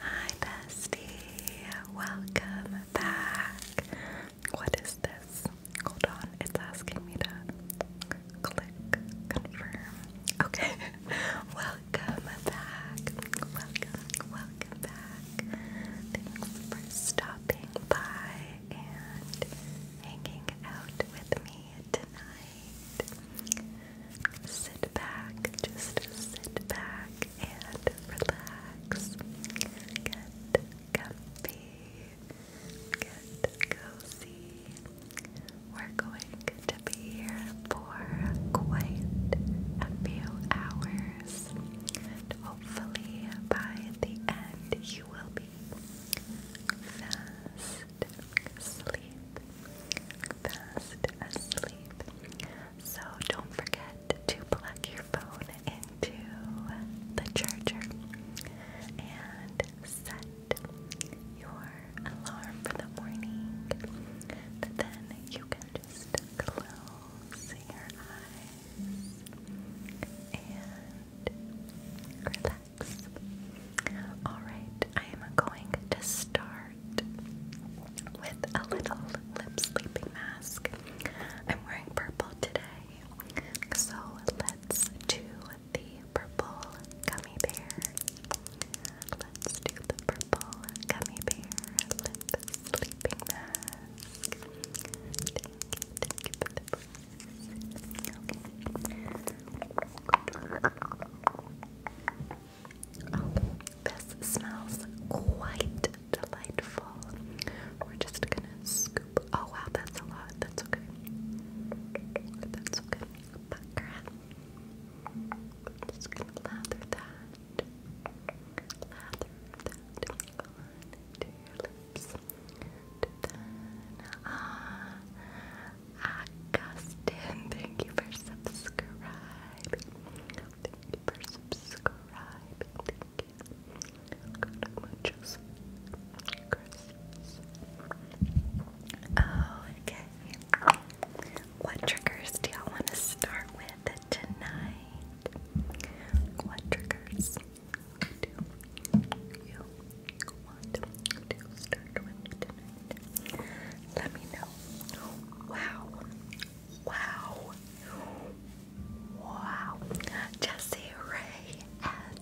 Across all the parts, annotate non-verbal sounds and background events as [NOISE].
Hi, bestie. Welcome back. What is this? Hold on, it's asking me to click confirm. Okay, [LAUGHS] welcome back. Welcome, welcome back. Thanks for stopping by and hanging out with me tonight. Sit back, just sit back and relax. Get comfy, get cozy. We're going to be here for quite a few hours. And hopefully, by the end, you will be fast asleep. Fast asleep. So don't forget to plug your phone into the charger and set your alarm for the morning. then you can just close your eyes and relax. Alright, I am going to start with a little lip sleeping mask. I'm wearing purple today, so let's do the purple gummy bear. Let's do the purple gummy bear lip sleeping mask. Oh, this smells quite delightful. We're just gonna scoop. Oh wow, that's a lot. That's okay. That's okay. Bucker. just gonna lather that. Lather that onto your lips. ah, Augustine, thank you for subscribing. Thank you for subscribing. Thank you. Good muchos. Christmas. Oh, okay. What triggers do y'all want to start with tonight? What triggers do you want to start with tonight? let me know. Wow. Wow. Wow. Jesse Ray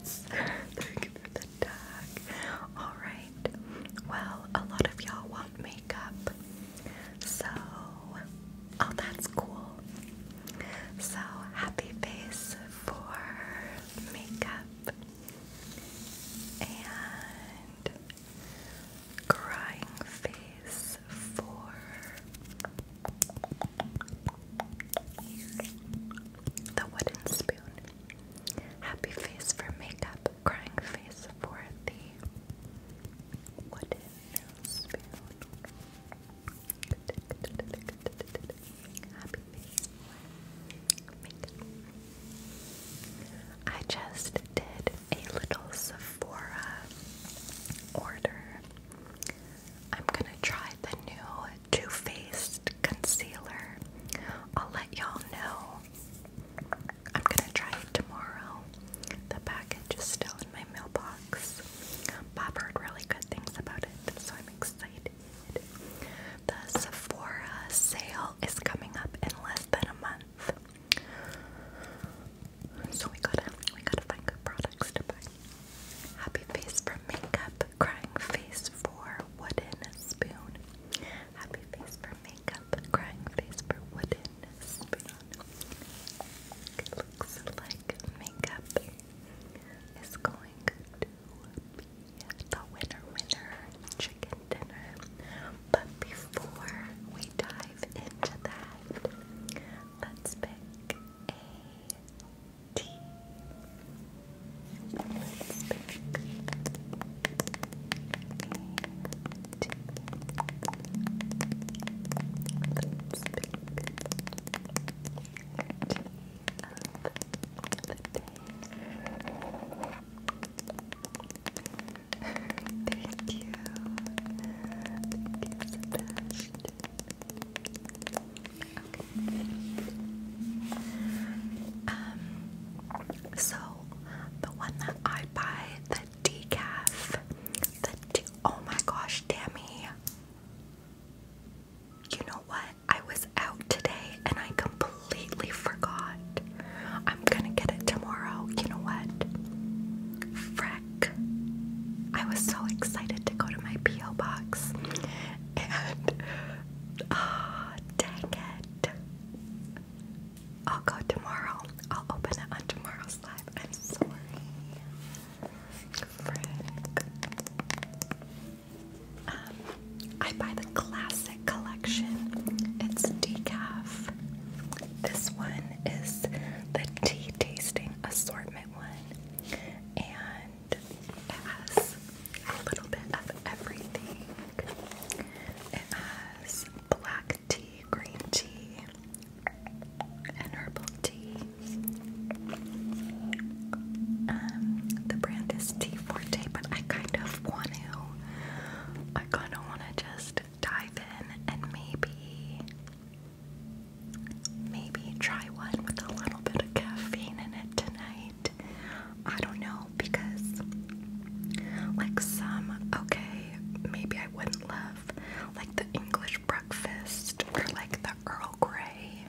Thank you for the tag. Alright. Well, a lot of y'all want makeup. So oh that's cool. So happy face for makeup. And crying face for the wooden spoon. Happy face for makeup, crying face for the wooden spoon. Happy face for makeup. I just did a little Sephora order. I'm gonna try the new Too Faced concealer. I'll let y'all know. I'm gonna try it tomorrow. The package is still in my mailbox. Bob heard really good things about it, so I'm excited. The Sephora sale is coming up in less than a month. So we gotta we gotta find good products to buy. Happy face for makeup, crying face for wooden spoon. Happy face for makeup, crying face for wooden spoon. It looks like makeup is going to be the winner winner chicken dinner but before we dive into that, let's pick a Let's pick a Let's pick tea of the day. Thank you. so the one that I buy, the decaf, the oh my gosh, Tammy. You know what? I was out today and I completely forgot. I'm gonna get it tomorrow. You know what? Freck. I was so excited to go to my P.O. box. And. Oh, [LAUGHS] dang it. I'll go tomorrow. I'll open it on tomorrow's live. I'm sorry. Frick. Um, I buy the classic collection. It's decaf. This one is the tea tasting assortment one, and has a little bit of everything. It has black tea, green tea, and herbal tea. Um, the brand is Tea Forte, but I kind of want to. I kind of want to just dive in and maybe maybe try one with a little bit of caffeine in it tonight. I don't know because like some okay, maybe I wouldn't love like the English breakfast or like the Earl Grey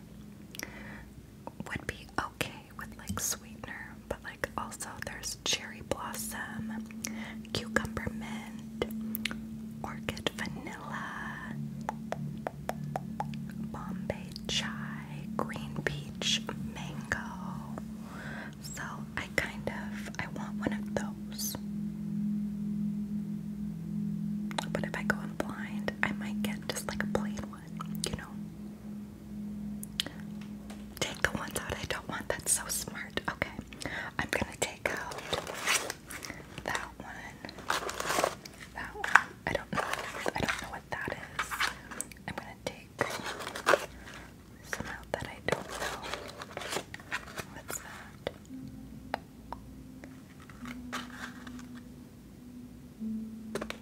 would be okay with like sweetener, but also there's cherry blossom, cucumber mint, orchid vanilla, bombay chai, green peach, mango. So I kind of I want one of those. But if I go blind, I might get just like a plain one, you know. Take the ones out I don't want. That's so smart. Okay. I'm gonna take out that one. That one. I don't know. I don't know what that is. I'm gonna take some out that I don't know. What's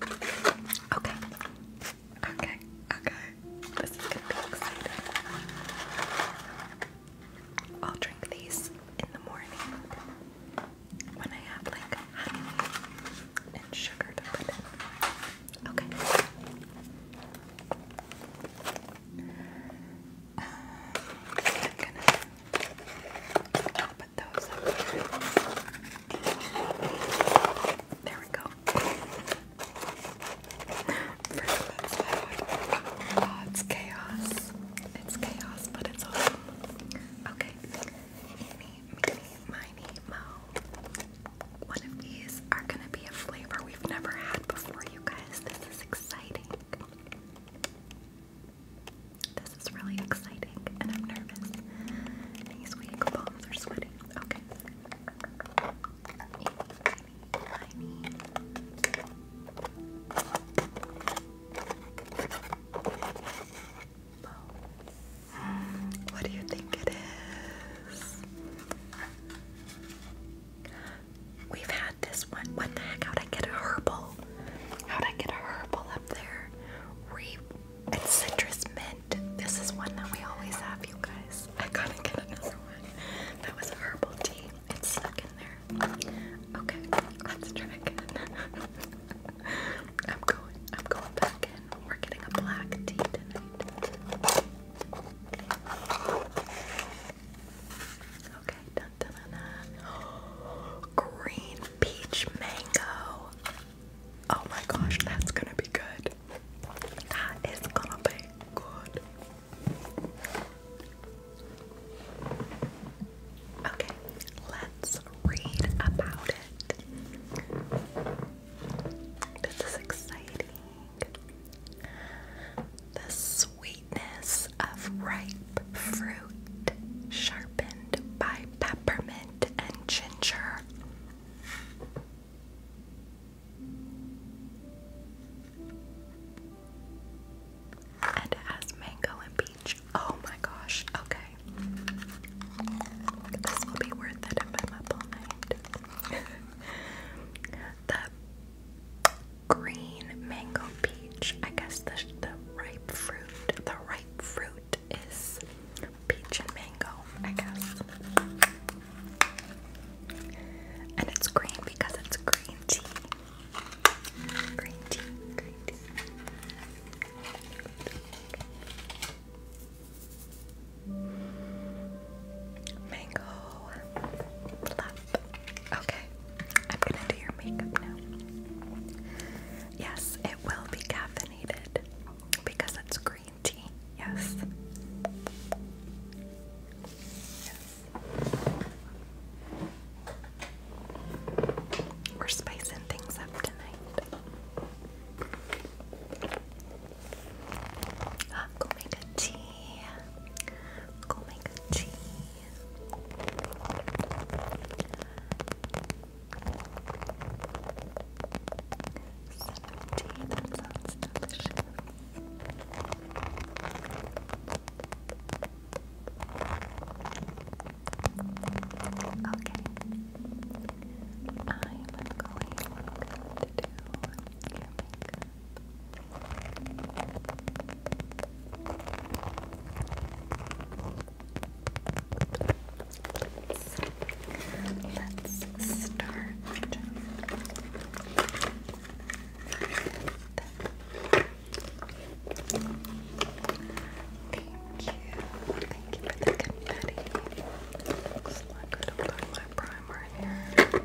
that? Okay. Okay. Okay, this is gonna be exciting. I'll drink these in the morning when I have like honey and sugar to put in. Okay. Um, I'm gonna put those up There we go. Fruit salad. it's chaos. It's chaos, but it's awesome. Okay. Eeny, meeny, miny, mo. One of these are gonna be a flavor we've never had before, you guys. This is exciting. This is really exciting, and I'm nervous. These weak bones are sweating. Okay. What do you think it is? We've had this one. What the heck? How'd I get a herbal? How'd I get a herbal up there? Re and citrus mint. This is one that we always have, you guys. I gotta get another [LAUGHS] that was a herbal tea. It's stuck in there. Okay, let's try again. [LAUGHS] I'm going. I'm going back in. We're getting a black tea tonight. Okay, [GASPS] green peach mango. Oh my gosh, that's gonna be good. That ah, is gonna be good. Okay, let's read about it. This is exciting. The sweetness of ripe fruit, sharpened by peppermint and ginger. And it mango and peach. Oh my gosh, okay. This will be worth it if I'm up all night. the green mango peach. I guess the, the ripe fruit. The ripe fruit is peach and mango, I guess. And it's green because it's green tea. Green tea, green tea. Mango. Love. Okay. I'm gonna do your makeup now. Yes, it will be caffeinated because it's green tea. Yes. We're spicing things up tonight. Ah, go make a tea. Go make a tea. Some tea that sounds delicious. Okay. I'm going to do your makeup. Let's, start. Thank you. Thank you for the confetti. Looks like I don't have my primer here.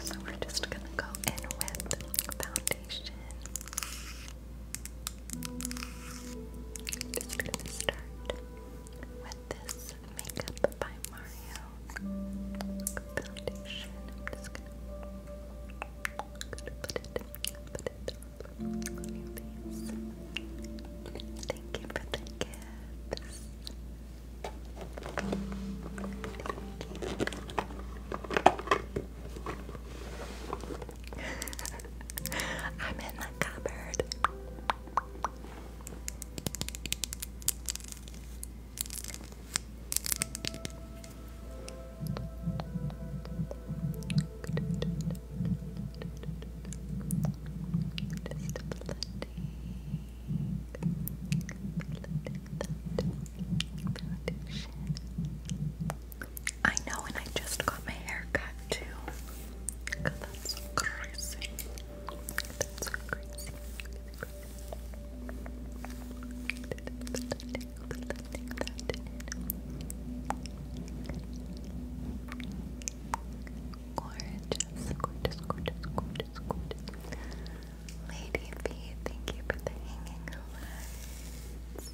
So we're just gonna go in with foundation. Just gonna start with this Makeup by Mario Foundation. just gonna, gonna put it, put it on Thank you for the gifts. [LAUGHS] I'm in the cupboard. I know, and I just got my hair cut too. that's crazy. That's so crazy. Gorgeous, gorgeous, gorgeous, Lady B, thank you for the hanging lights.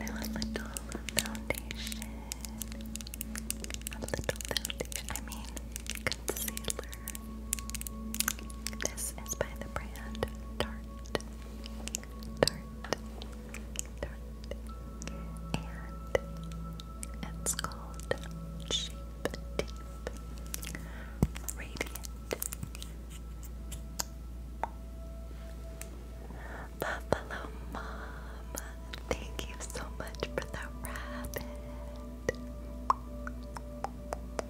little foundation. A little foundation, I mean concealer. This is by the brand Tarte. Tarte. Tarte. And it's called Shape Tape Radiant. Buffalo Mom, thank you so much for the rabbit.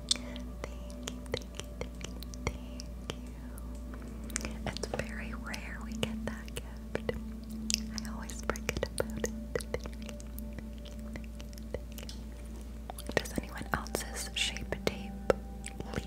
Thank you, thank you, thank you, thank you. It's very rare we get that gift. I always forget it. Does anyone else's shape tape leak?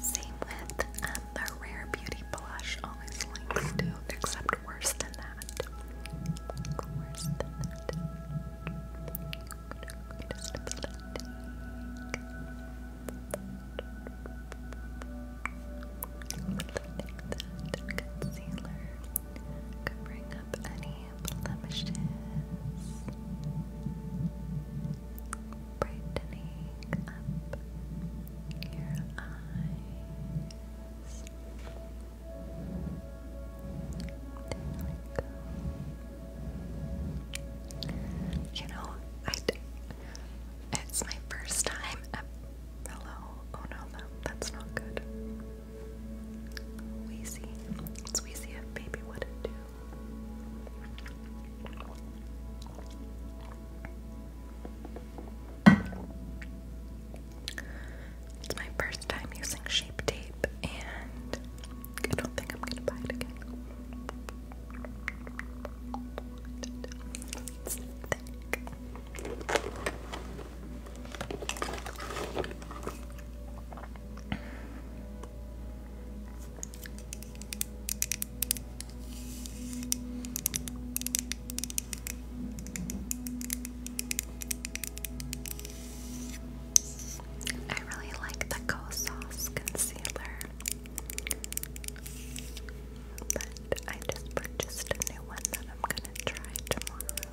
Same with um, the Rare Beauty blush, always links to, except worse than that. Worse than That concealer covering up any blemishes brightening up your eyes. You know, I. It's my first time. hello. Oh no, that, that's not good. Wheezy. It's wheezy if wouldn't do. It's my first time using shape tape, and I don't think I'm gonna buy it again. I really like the Kosas concealer, I just purchased a new one that I'm gonna try tomorrow.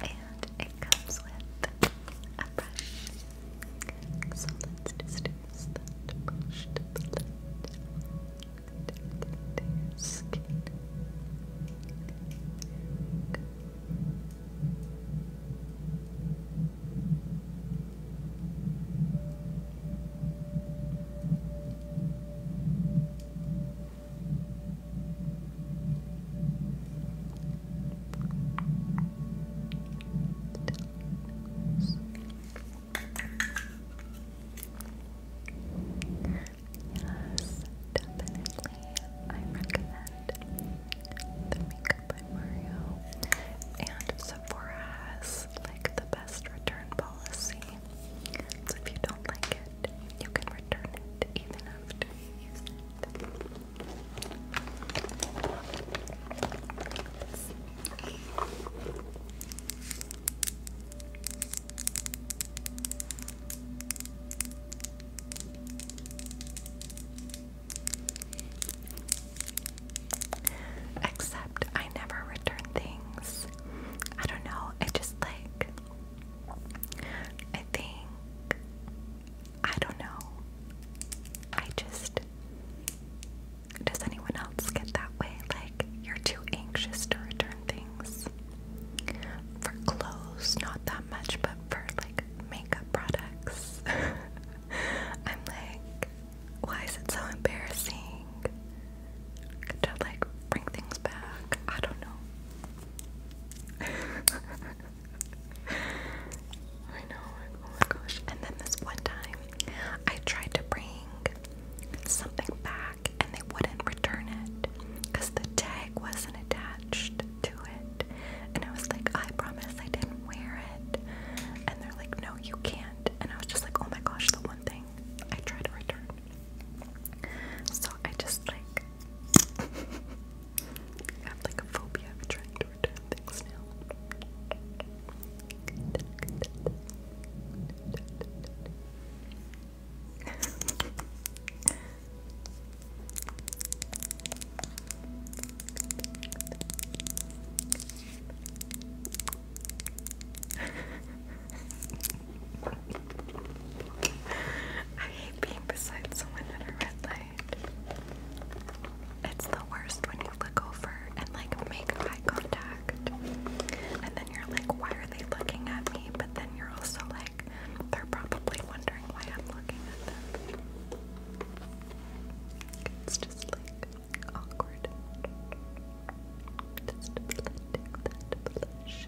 And it comes with a brush. So let just use that brush to blend into skin. Yes, definitely. I recommend the Makeup by Mario. And Sephora has like the best return policy. So if you don't like it, you can return it even after you use it. Except I never return things. I don't know, I just like I think I don't know. I just does anyone else get that way? Like you're too anxious to return things. For clothes, not that much, but for like makeup products. [LAUGHS] I'm like, why is it so embarrassing? to like bring things back. I don't know. [LAUGHS] I know, oh my gosh. And then this one time, I tried to bring something back and they wouldn't return it because the tag wasn't attached to it. And I was like, I promise I didn't wear it. And they're like, no, you can't. And I was just like, oh my gosh, the one thing I tried to return. So I just like [LAUGHS] have like a phobia of trying to return things now. [LAUGHS] I hate being beside someone at a red light. It's the worst when you look over and like make eye contact. And then you're like, why are they looking at me? But then you're also like, they're probably wondering why I'm looking at them. It's just like awkward. Just a bit like that blush.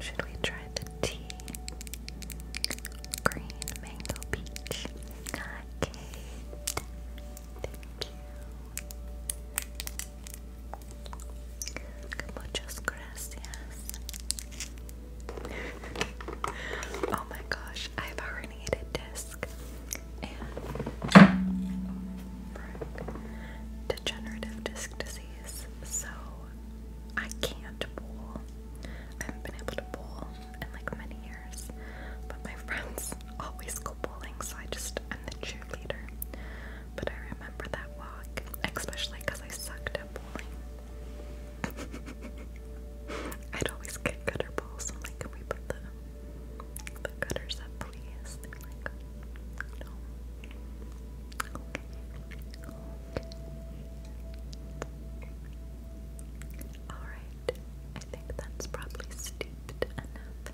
Should we try the tea? Green mango peach. Okay. Thank you. Muchas gracias. [LAUGHS] oh my gosh, I've already needed disc and degenerative disc disease disease, so I can't bowl. I haven't been able to bowl in like many years, but my friends always go bowling, so I just I'm the cheerleader. But I remember that walk, especially because I sucked at bowling. [LAUGHS] I'd always get gutter balls. I'm like, can we put the the gutters up, please? Alright. I think that's probably steeped enough.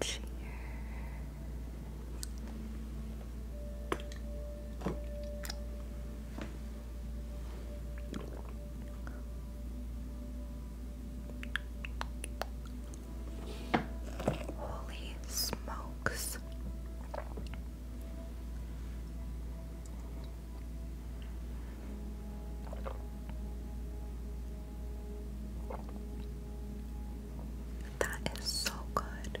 Cheers. Holy smokes. That is so good.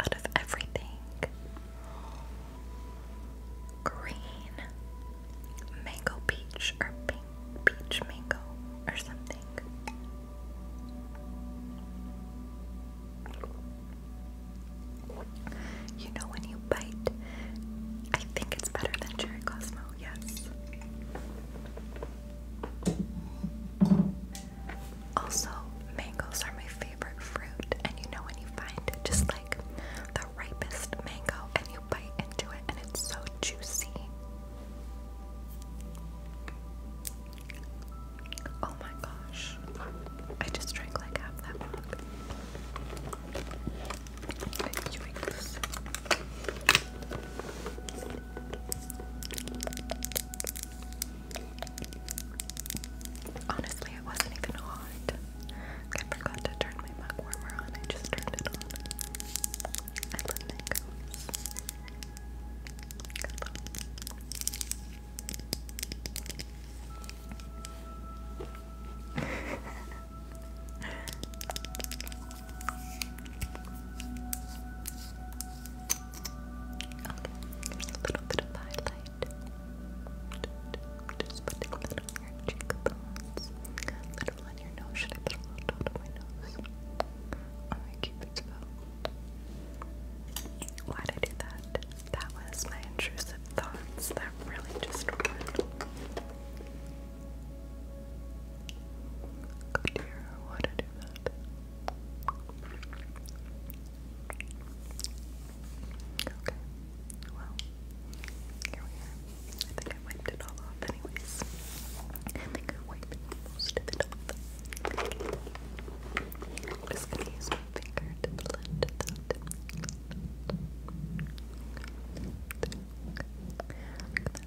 out of everything. Green mango peach or pink peach mango or something. You know when you bite, I think it's better than cherry Cosmo, yes. Also, mangoes are my favorite fruit, and you know when you find just like the ripest mango and you bite into it and it's so juicy. Oh my gosh. I just drank like half that mug. Honestly, it wasn't even hot. I forgot to turn my mug warmer on. I just turned it on. [LAUGHS] a little bit of highlight. Just putting a little on your cheekbones, a little on your nose. Should I put a little dot my nose? On my cupid's bow. Why'd I do that? That was my intrusive thoughts. That really just went. Oh dear, why'd I do that? Okay. Well, here we are. I think I wiped it all off anyways. I think I wiped most of it off. just gonna use my finger to blend that.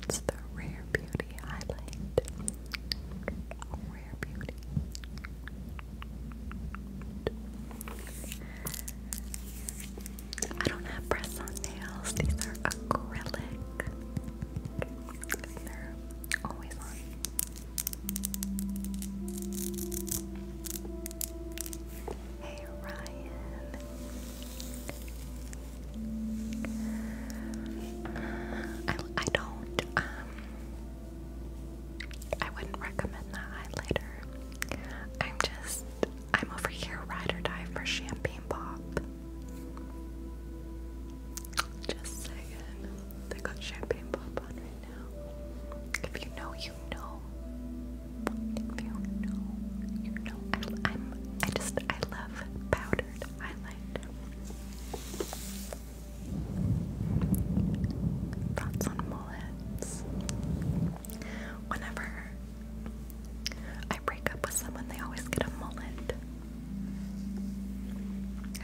That's the Rare Beauty highlight. Rare Beauty. I don't have press on nails, these are acrylic. They're always on. Hey Ryan. I I don't um, I wouldn't recommend that highlighter. I'm just, I'm over here ride or die for champagne pop. Just saying, they got champagne pop on right now. If you know, you know. If you know, you know. I, just, I love powdered highlight. Thoughts on mullets. Whenever I break up with someone, they always get a mullet.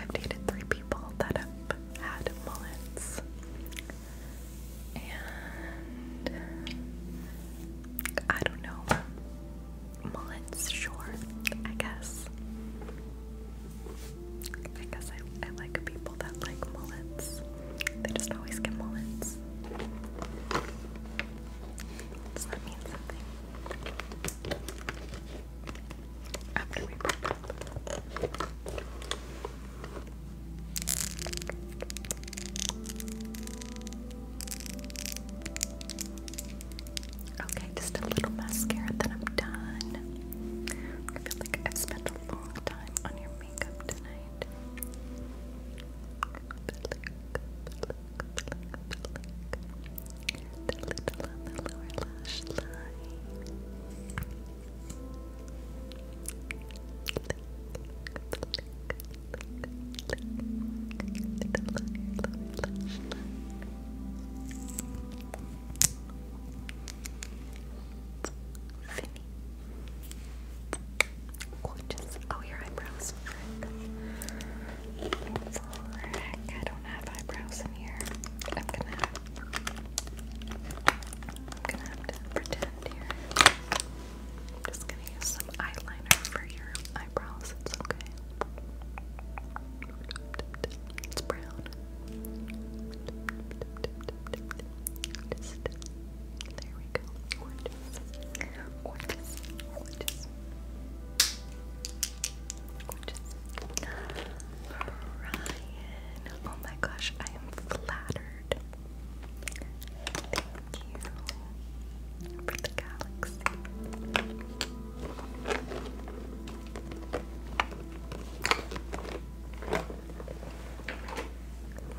I've dated three people that have had mullets. And I don't know. Mullets, sure, I guess. I guess I, like people that like mullets. They just always get mullets. that mean something? After we break up. Okay, just a little mascara, then I'm done. I feel like I've spent a long time on your makeup tonight. The little the lower lash line. Finny. Gorgeous. Oh, your eyebrows. Frick. Frick. I don't have eyebrows in here. I'm gonna have I'm gonna have to pretend here. I'm just gonna use some eyeliner for your eyebrows, it's okay. It's brown there we go. Ryan. Oh my gosh, I am flattered. Thank you for the galaxy.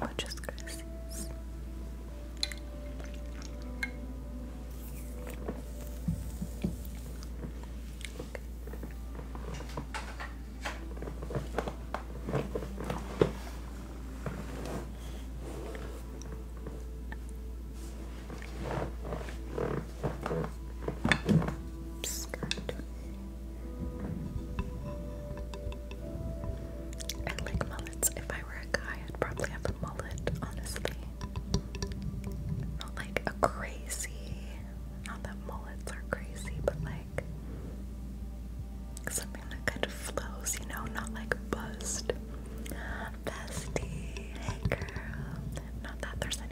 Muchas gracias. Okay. I like mullets. If I were a guy, I'd probably have a mullet, honestly. Not like a crazy, not that mullets are crazy, but like something that kind of flows, you know, not like buzzed. Bestie, hey girl. Not that there's any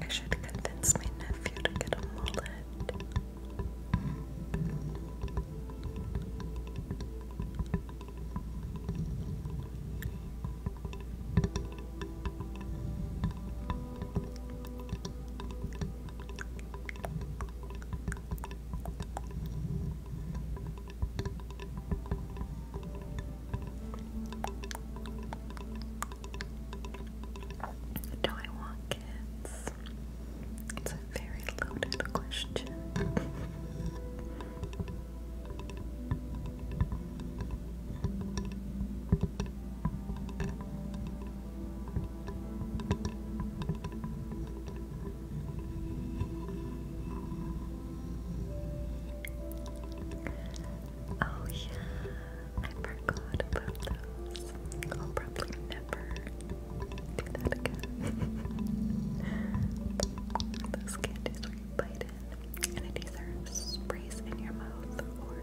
I should convince my nephew to get a mullet. Do I want kids? It's a very loaded question. Oh, yeah, I forgot about those. I'll probably never do that again. [LAUGHS] those candies where bite in and it either sprays in your mouth or.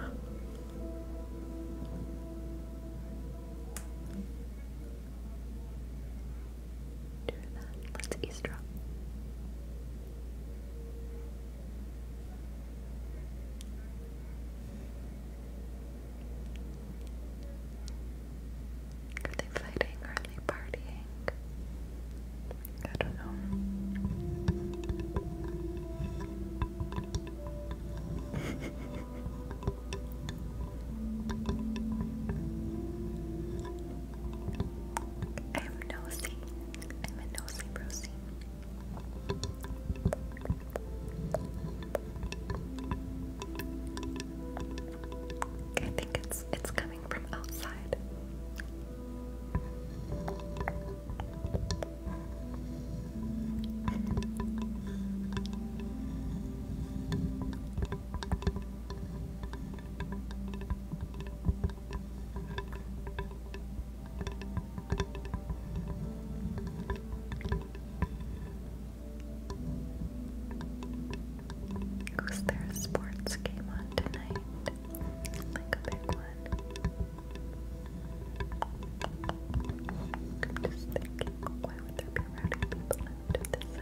[GASPS] Do that. Let's eavesdrop. Are they fighting? Are they partying? I don't know. [LAUGHS] I'm nosy. I'm a nosy Rosie. I think it's it's coming from outside. Was there sports game on tonight? Like a big one? just thinking, why would there be rowdy people out at this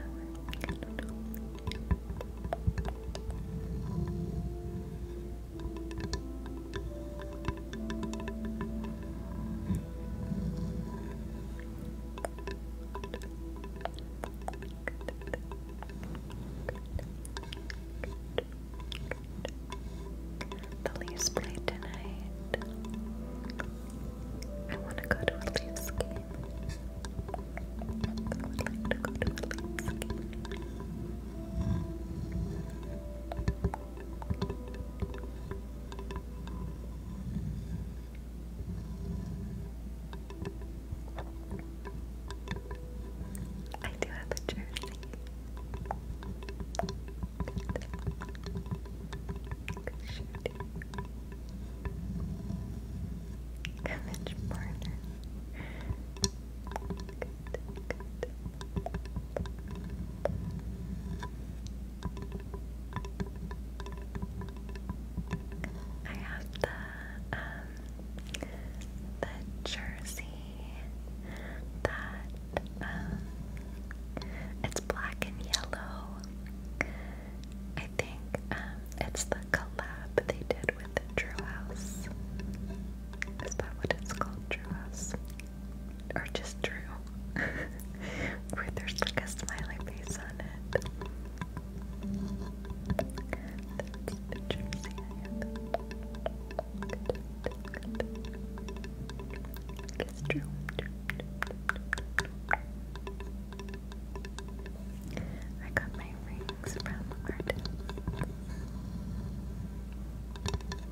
the Leafs play tonight. I want to go to a Leafs game. I do have a jersey. Good. Image partner. I have the um the jersey that um it's black and yellow. I think um it's the collab they did with Drew House. Is that what it's called? Drew House or just Drew, [LAUGHS] where there's like a smiley face on it. That's interesting. Drew. I got my rings from artists.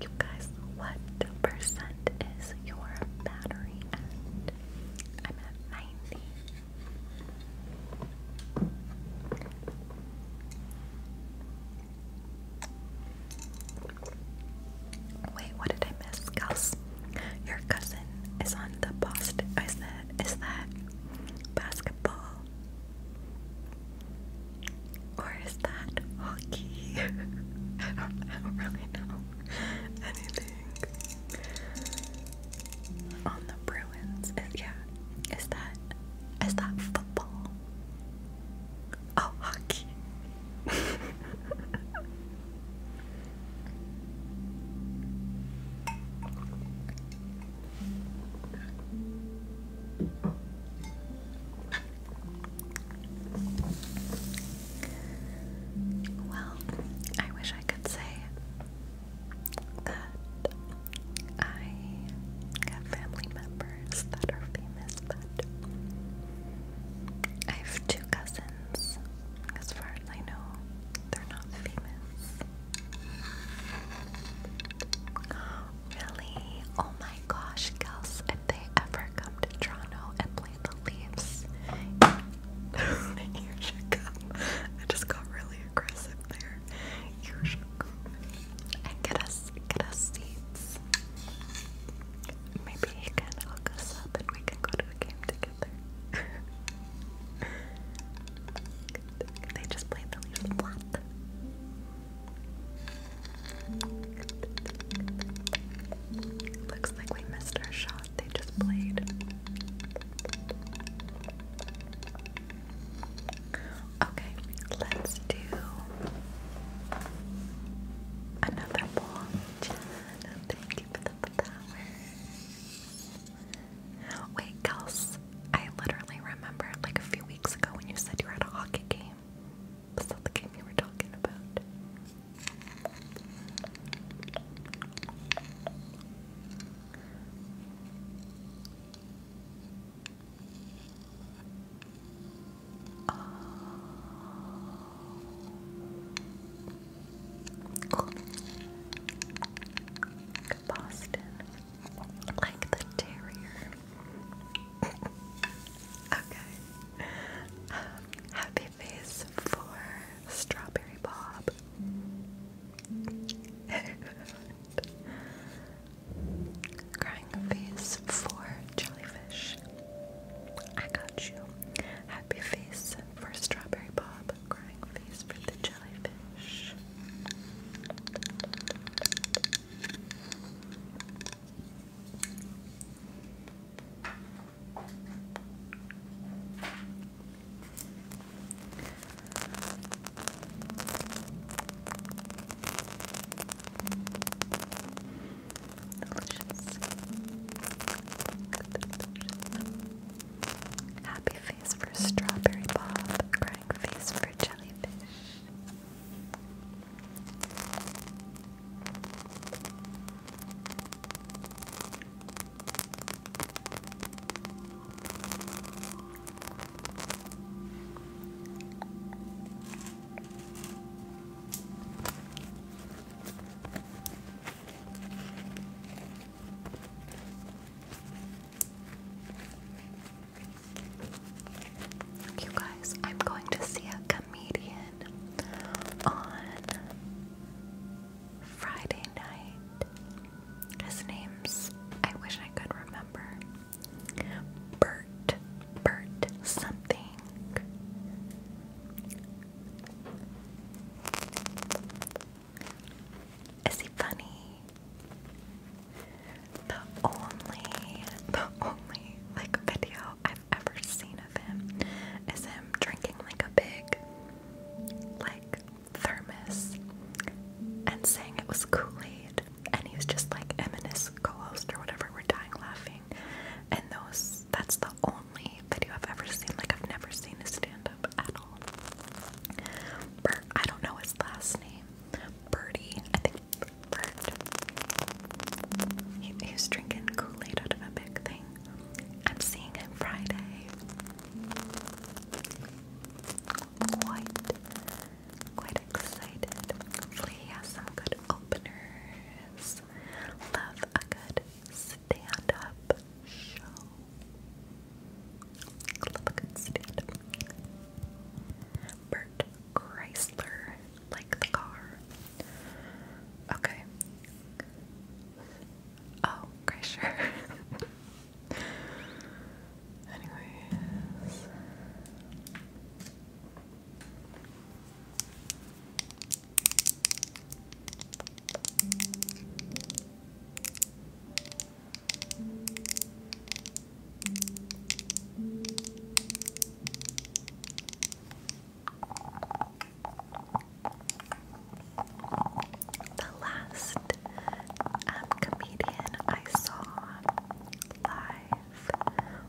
You guys, what percent is your battery I'm at Wait, what did I miss, Gus? Your cousin is on the Boston. Is that basketball? Or is that hockey? [LAUGHS] I don't really know anything on the Bruins. yeah. Is that is that football? Oh, hockey. [LAUGHS] Well, I wish I could say that I have family members that are famous, but I have two cousins. As far as I know, they're not famous. Really? Oh my gosh, Kels, if they ever come to Toronto and play the leaves. you should come. I just got really aggressive there. You should come and get us get us seats. Maybe you can hook us up and we can go to a game together. [LAUGHS] they just played the leaves. What? Looks like we missed our shot they just played. Okay, let's do another poll. Wait, Kels, I literally remember like a few weeks ago when you said you were at a hockey game. Was that the game you were talking about? Cool. Boston, like the terrier. [LAUGHS] okay. Um, happy face for Strawberry Bob. [LAUGHS] Crying face for jellyfish. I got you. Happy face for strawberry bob. Crying face for the jellyfish. Delicious. Happy face for strawberry bob, crying face for jellyfish. You guys, I'm going to see a comedian on Friday night. His name's, I wish I could remember. Bert. Bert something. Is he funny? The only, the only like video I've ever seen of him is him drinking like a pig like thermos and saying it was Kool-Aid and he was just like m and or whatever we're dying laughing and those that's the only video I've ever seen like I've never seen a stand-up at all Bert, I don't know his last name Bertie, I think Bert he, he was drinking Kool-Aid out of a big thing I'm seeing him Friday quite, quite excited. Lee has some good openers. Love a good stand-up show. Love a good stand-up. Bert Chrysler, like the car. Okay. Oh, okay, sure. [LAUGHS] Anyways. The last um, comedian I saw live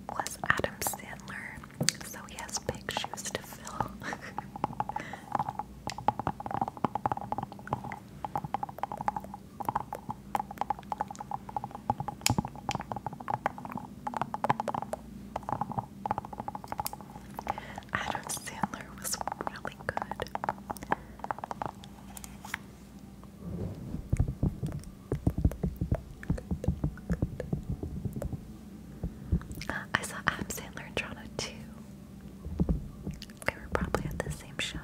was Adam Sandler, so he has big shoes to fill. Adam Sandler was really good. I saw Adam Sandler in Toronto too. They were probably at the same show.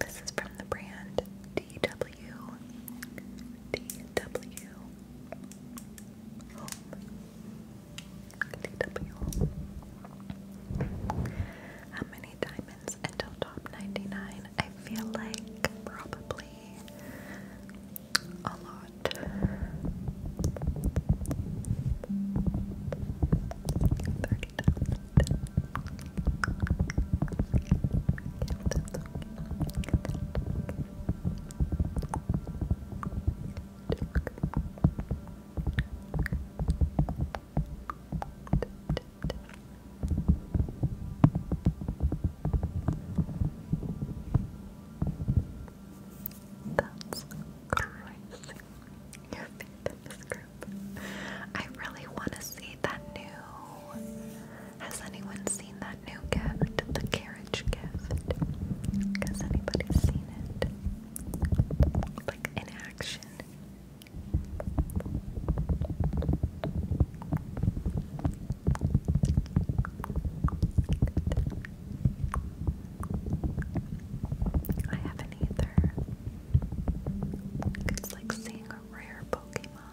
This is from the brand DW. W D W home How many diamonds until top ninety nine? I feel like probably a lot. Thirty that's crazy. You're in this group. I really want to see that new has anyone seen that new gift? The carriage gift? Has anybody seen it? Like in action? I haven't either. It's like seeing a rare Pokemon.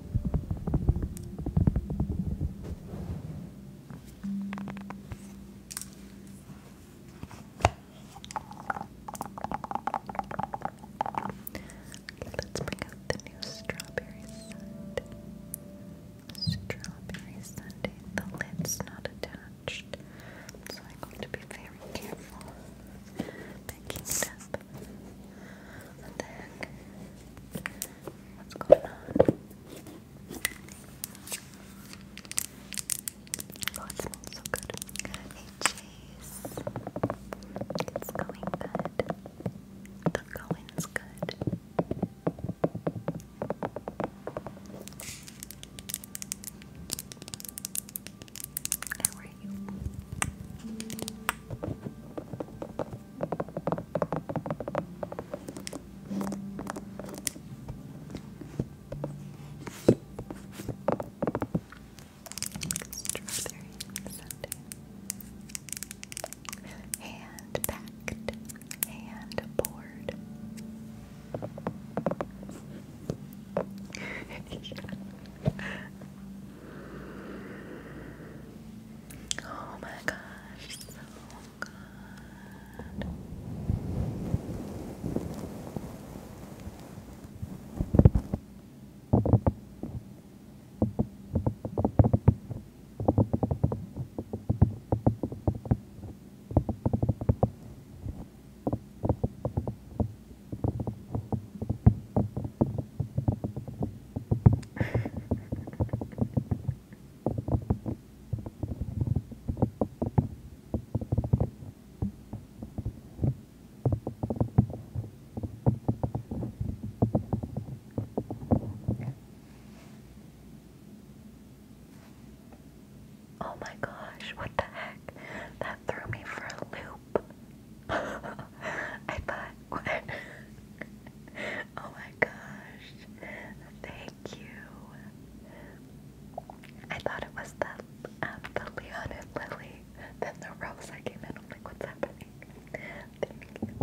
Okay, let's bring out the new strawberry sundae. The lid's not attached, so I'm going to be very careful picking it up. What's going on? Oh, it smells so good. Hey, Chase. It's going good. The going's good. How are you? Strawberry sundae. packed, hand poured. [LAUGHS] [LAUGHS] Oh my gosh, so good oh my gosh, what the heck? That threw me for a loop. [LAUGHS] I thought, [LAUGHS] Oh my gosh. Thank you. I thought it was um, the, um, Lily. Then the rose I came in. I'm like, what's happening? thank you.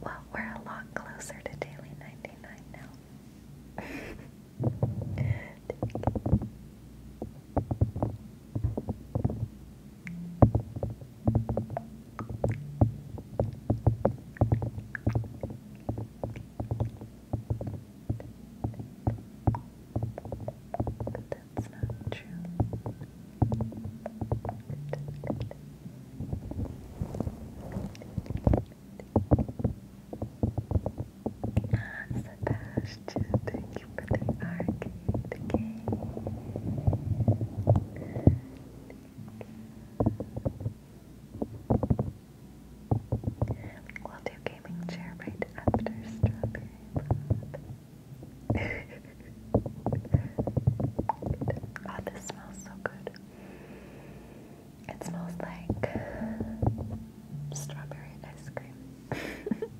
Well, we're a lot closer to daily 99 now that's not true. And Sebastian, thank you for the arcade game. We'll do gaming chair right after strawberry pop oh, this smells so good. It smells like strawberry ice cream. [LAUGHS]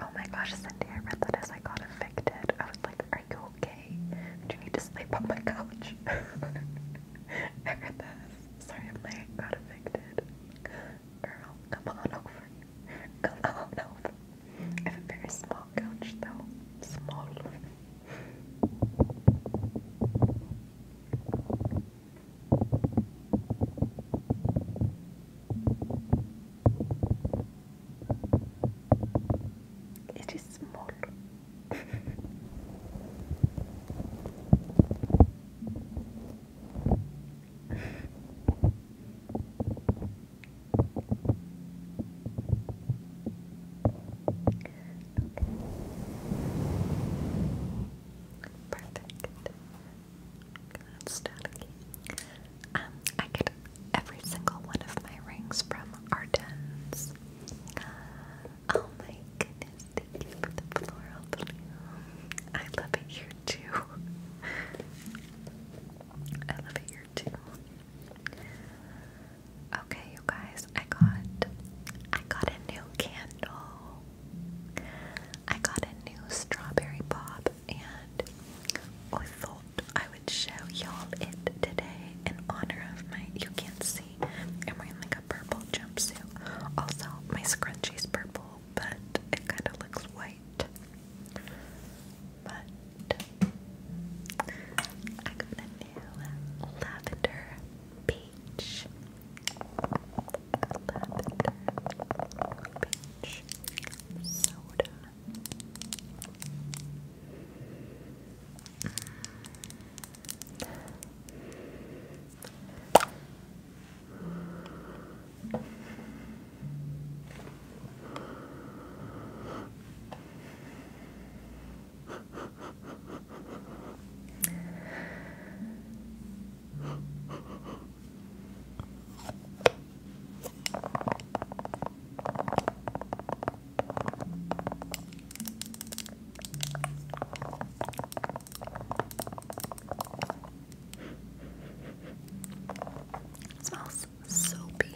Oh my gosh, Cindy, I read that as I got evicted. I was like, Are you okay? Do you need to sleep on my couch? [LAUGHS] I read that sorry I'm late, got evicted. Girl, come on over. Come on over. I have a very small couch though. Small. It is small. [LAUGHS] Perfect. That's Um, I get every single one of my rings from Ardennes. Oh my goodness, thank you for the floral bloom. I love it here too. I love it here too. Okay, you guys, I got I got a new candle. I got a new strawberry pop and I thought I would show y'all it today in honor of my you can't see. I'm wearing like a purple jumpsuit. Also, my scrunchie is purple, but it kind of looks white but I got a new lavender peach. Lavender peach soda. Mm. It smells soapy.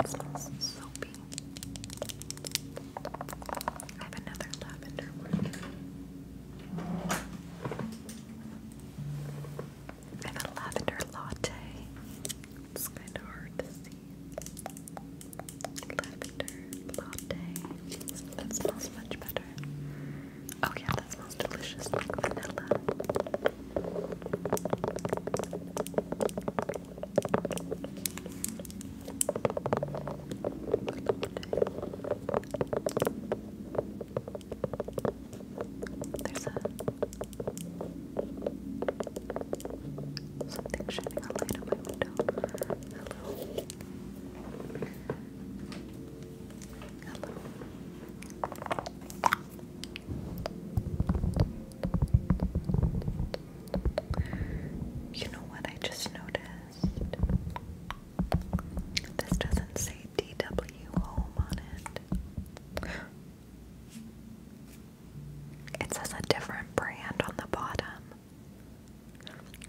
It smells soapy. I have another lavender I have a lavender latte. It's kind of hard to see. Lavender latte. That smells much better. Oh yeah, that smells delicious, like vanilla. There's a something shining a light on my window. Hello. Hello. You know what I just noticed? This doesn't say DW Home on it. It says a different brand on the bottom.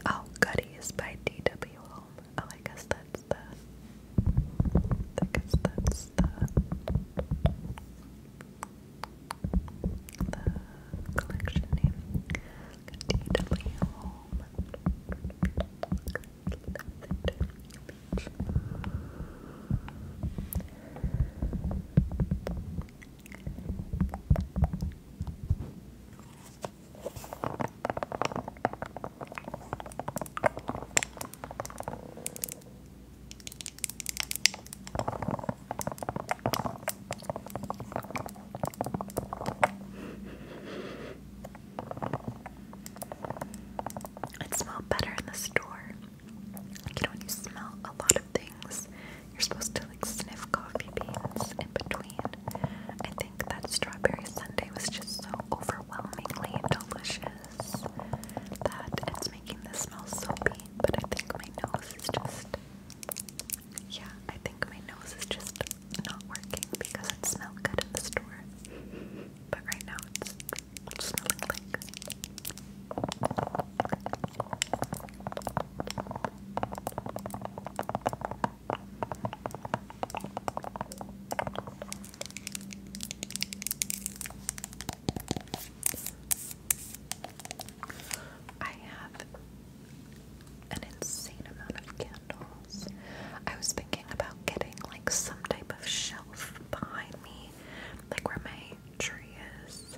Oh, Goodies by DW Home. Oh, I guess that's the. I guess that's the the collection name DW it smelled better in the store. you know, when you smell a lot of things, you're supposed to like sniff coffee beans in between. I think that strawberry sundae was just so overwhelmingly delicious that it's making this smell soapy, but I think my nose is just. Yeah, I think my nose is just not working because it smelled good in the store. But right now it's, it's smelling like. I have an insane amount of candles. I was thinking about getting like some type of shelf behind me, like where my tree is,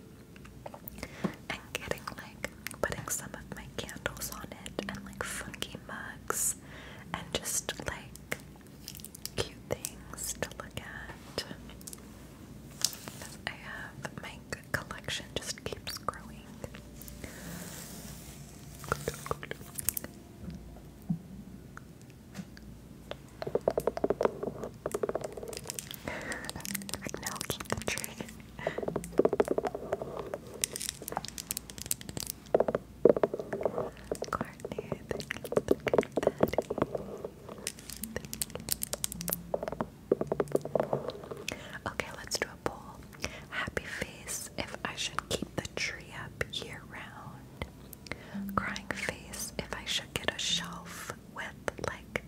and getting like putting some of my candles on it and like funky mugs and just like cute things to look at. I have my collection just keeps growing. [LAUGHS] now, keep the tree. Courtney, thank you Okay, let's do a poll. Happy face if I should keep the tree up year round. Crying face if I should get a shelf with like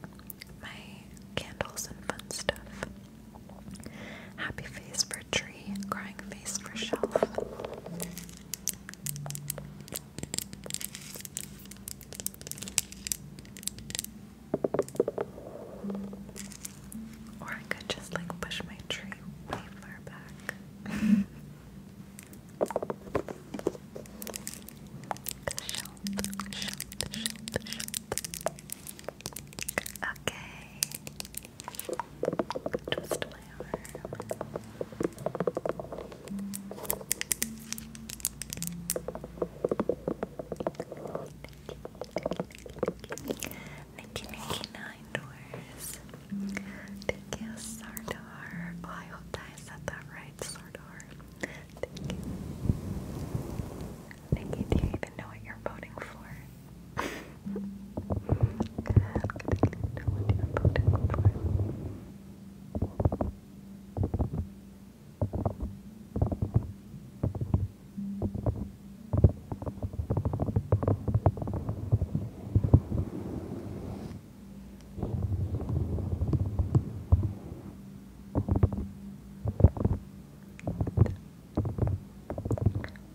my candles and fun stuff. Happy face for tree, crying face for shelf. Or I could just like push my tree way far back. [LAUGHS] Okay. Twist my arm. Nikki Doors. Thank you, Sardar. I hope I said that right, Sardar. Thank you. do you even know what you're voting for? Good, good, good. Know what you're voting for.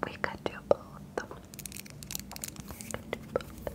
We could do both. We could do both.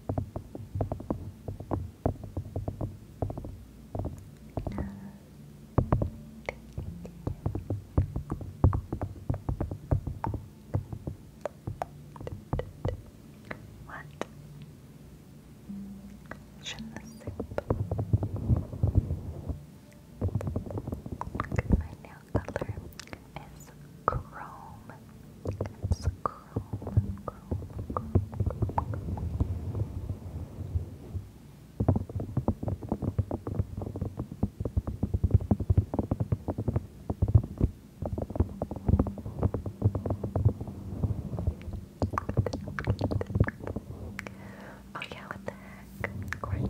No, what? Shouldn't the soup? Look at my nail color is chrome. It's chrome, chrome, what the heck? Courtney,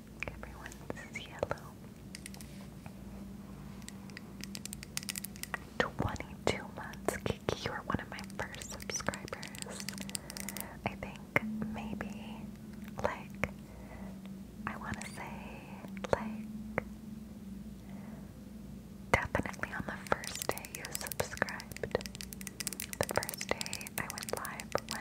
Everyone's yellow. 22 months. Kiki, you were one of my first subscribers. I think maybe, like, I want to say, like, definitely on the first day you subscribed. The first day I went live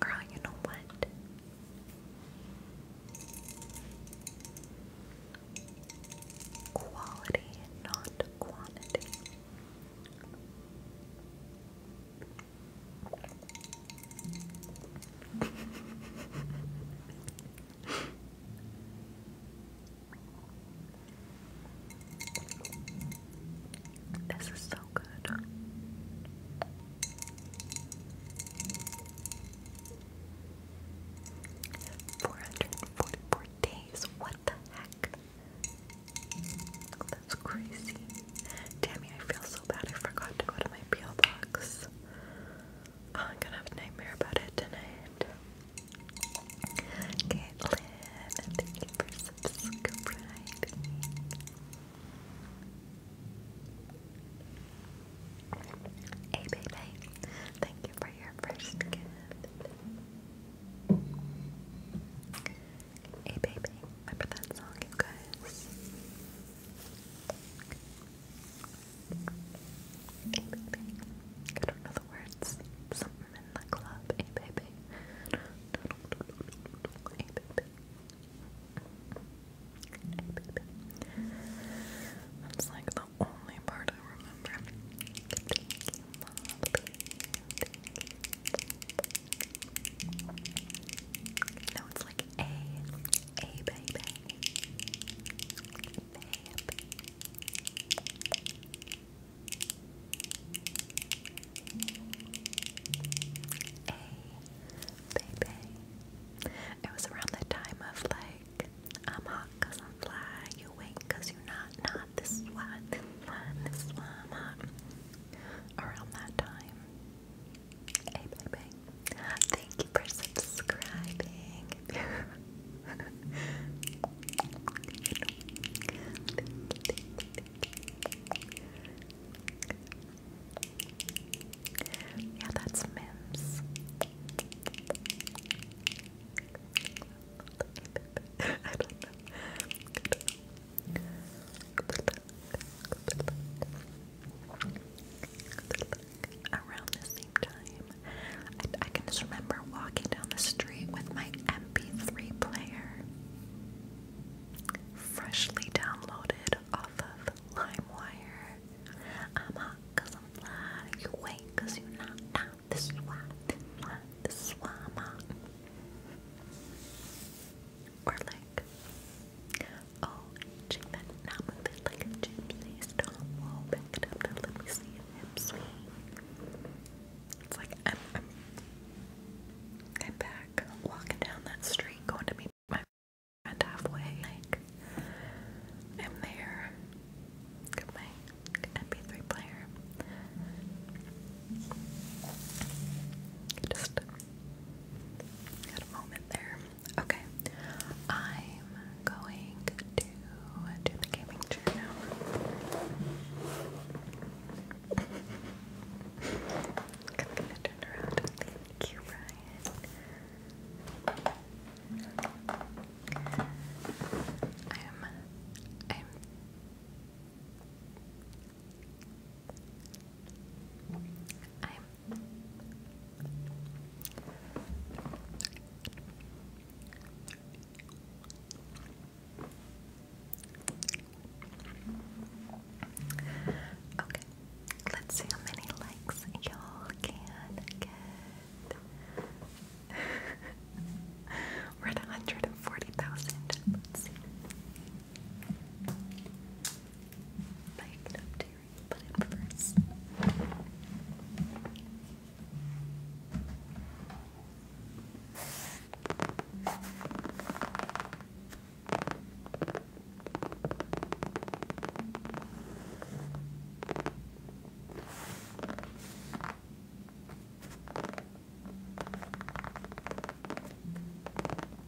Girl, you know what? Quality, not quantity. This is so good. Four hundred and forty-four days. What the heck? That's crazy. Tammy, I feel so bad. I forgot to go to my peel box. Oh, I'm gonna have a nightmare about it tonight. Caitlin, thank you for subscribing. Hey, baby, thank you for your first gift. Hey, baby, remember that song, you guys? I don't know the words. Something in the club. A baby. A like the only part I remember. Thank you. No, it's like A. A baby. Baby. It was around the time of like, I'm hot i I'm fly, you wait you you're not, not this one, this one, Around that time. Hey, bang, Thank you for subscribing. [LAUGHS] yeah, that's Mims. [LAUGHS] around the same time. I, can just remember walking down the street with my MP3 player, freshly downloaded off of LimeWire. I'm hot i I'm fly, you wait you you're not This is why, this is why, I'm hot. Or like, oh, check that, now like a gypsy, stop, whoa, back up, now let me see your It's like, I'm, I'm, I'm back, walking down that street, going to meet my friend halfway, like, I'm there, got my mp3 player. Just had a moment there. Okay, I'm going to do the gaming chair now. I'm turn around. Thank you, Ryan. I'm. I'm. Okay, let's see how many likes y'all can get. [LAUGHS] We're at 140,000. let commentary we'll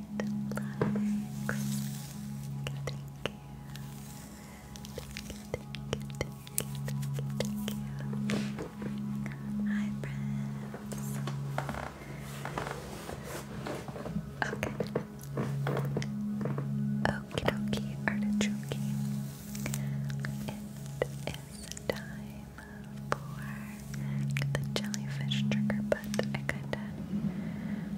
Hi, friends. Okay. Okie dokie, artichoke. It is time for the jellyfish trigger but I kinda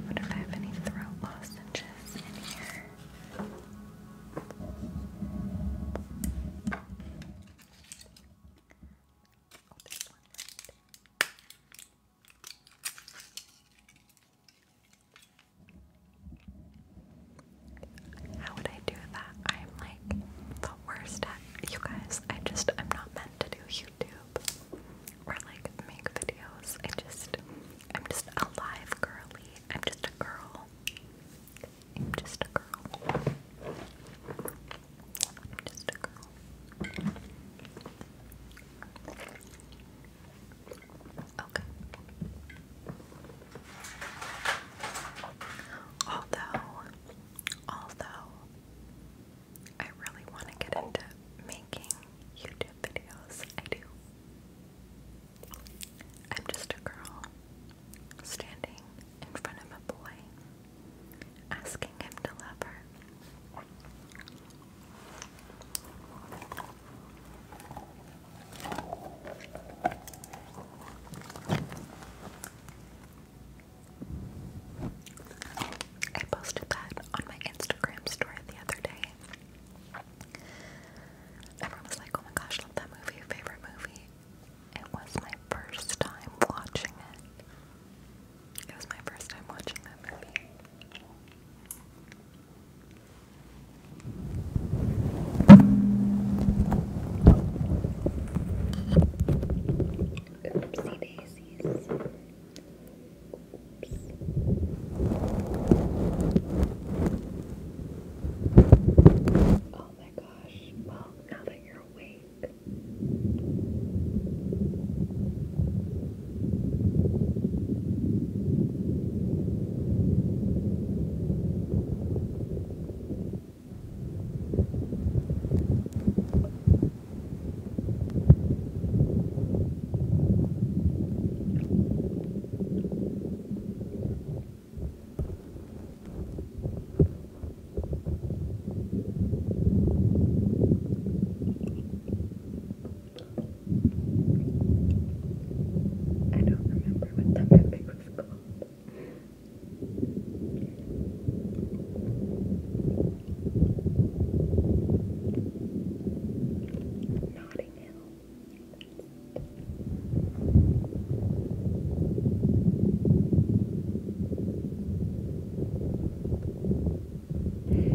wonder if I have any throat lozenges in here. how would I do that? I'm like the worst at you guys. I just I'm not meant to do or like make videos. I just, I'm just a live girly. I'm just a girl. I'm just a girl. I'm just a girl. Okay. Although, although, I really want to get into making YouTube videos. I do. I'm just a girl standing in front of a boy asking him to love her. I posted that on my Instagram story the other day. Everyone was like, oh my gosh, that movie, favorite movie. It was my first time watching it. It was my first time watching that movie. Oopsie daisies. Oops. Oh my gosh. Well, now that you're awake. I don't remember what the movie was called. Notting Hill. Thank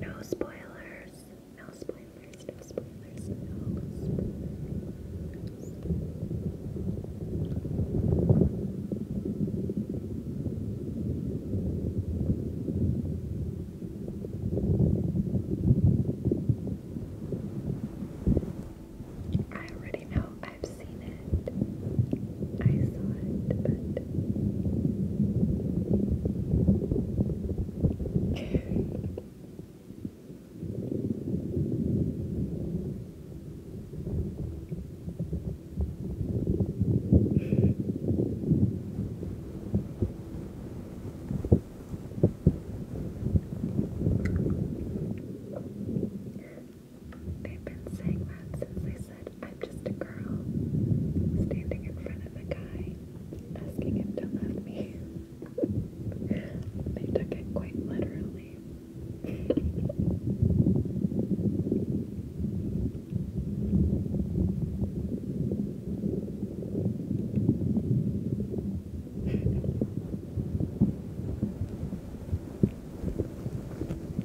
No spoilers. No spoilers. No spoilers. No spoilers. I already know. I've seen it. I saw it, but They've been saying that since I said I'm just a girl standing in front of a guy asking him to love me. [LAUGHS] they took it quite literally. [LAUGHS]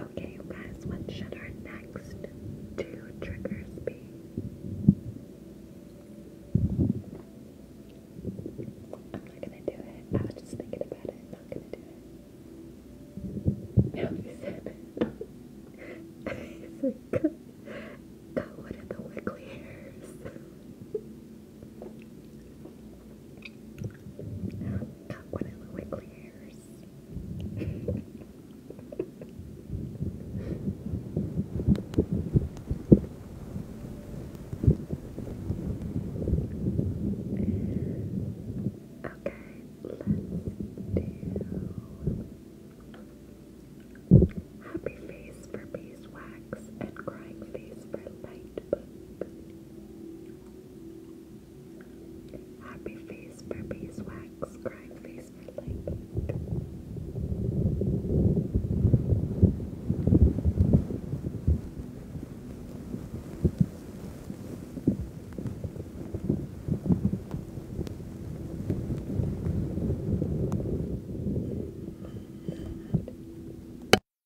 Okay, you guys, what should our next two triggers be? I'm not gonna do it. I was just thinking about it. I'm not gonna do it. Now you said it. He's like, [LAUGHS] God, what the wiggly hairs? One of the okay, let's do happy face for beeswax and crying face for light book. Happy face for beeswax, crying face for light book.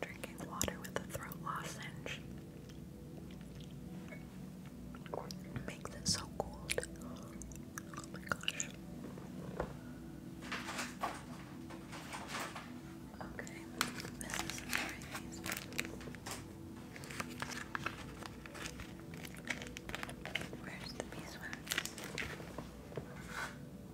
Drinking water with a throat lozenge makes it so cold. Oh my gosh. Okay, Where's the beeswax?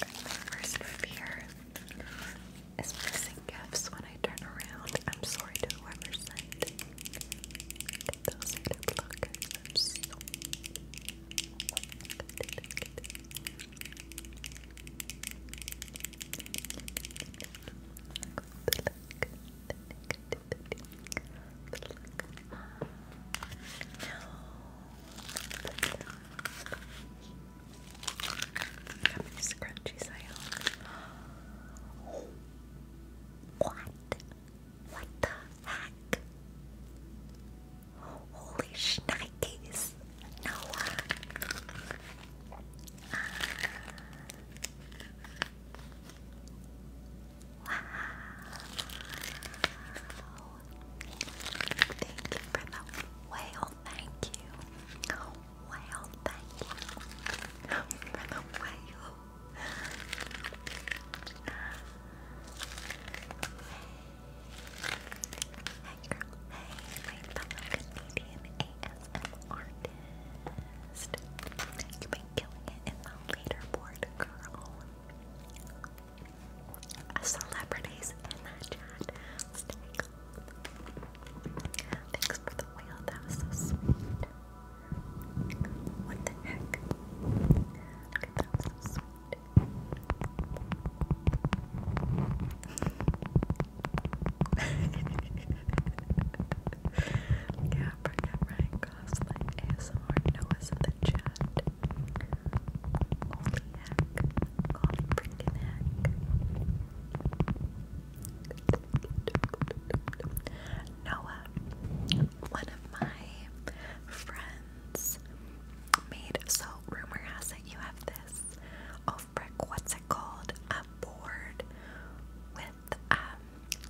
My first fear is missing gifts when I turn around. I'm sorry to whoever sent those. Good luck. i how many scrunchies I own? What? What the heck? Holy shnikes! Noah! Uh, Wow. Thank you for the whale, thank you. whale, thank you. For the whale. Hey girl, hey, my fellow Canadian ASM artist killing it in the leaderboard, girl. Celebrities in that chat. Thanks for the whale, that was so sweet. What the heck? that was so sweet. [LAUGHS] yeah, bring it Noah, one of my friends made, so rumor has it you have this off what's it called? A board with um,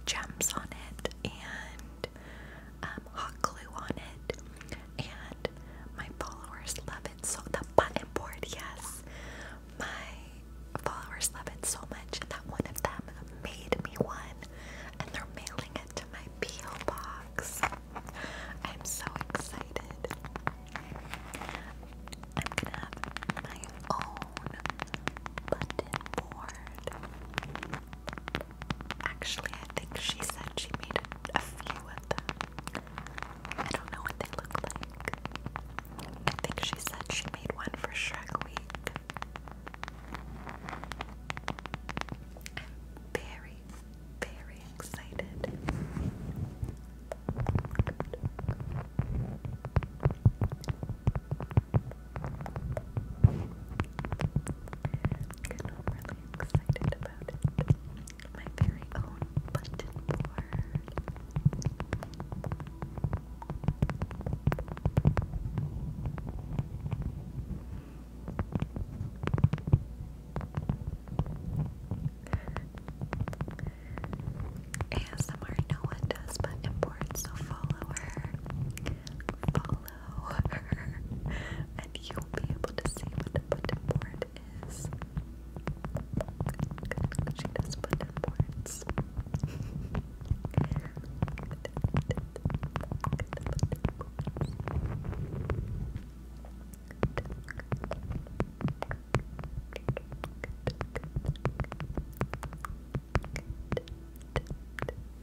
gems on it and um, hot glue on it, and my followers love it so. The button board, yes, my followers love it so much that one of them made me one, and they're mailing it to my PO box. I'm so excited. I'm gonna have my own button board. Actually, I think she said she made a, few of them. I don't know what they look like. I think she said she made one for Shrek Week. very, very excited. And I'm really excited about My very own button board. ASMR no one does but imports, so follow her. Follow below, [LAUGHS] and you'll be able to see what the button board is. She does button boards. [LAUGHS]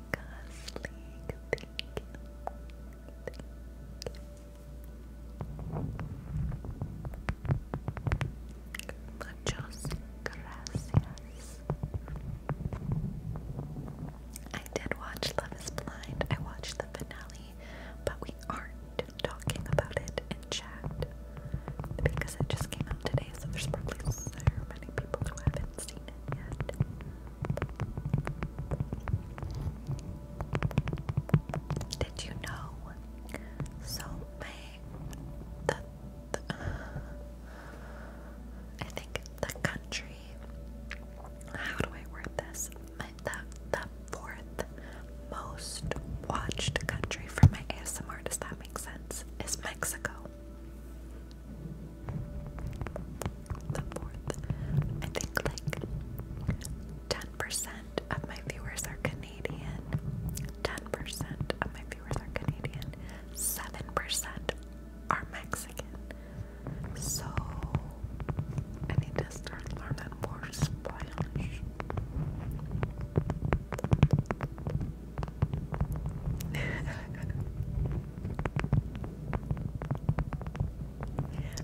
I did watch Love is Blind. I watched the finale, but we aren't talking about it in chat because it just came out today, so there's probably so many people who haven't seen did you know? So my the, [SIGHS] I think the country. How do I word this? the the fourth most watched country for my ASMR. Does that make sense? Is Mexico? the fourth. I think like 10% of my viewers are Canadian. 10% of my viewers are Canadian. 7% are Mexican. So I need to start learning more Spanish. [LAUGHS]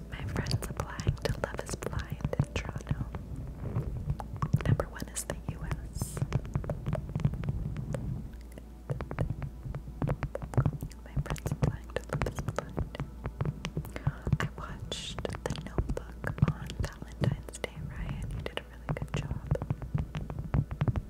My friends applying to Love is Blind in Toronto. Number one is the US. My friends applying to Love is Blind. I watched The Notebook on Valentine's Day, Ryan. You did a really good job.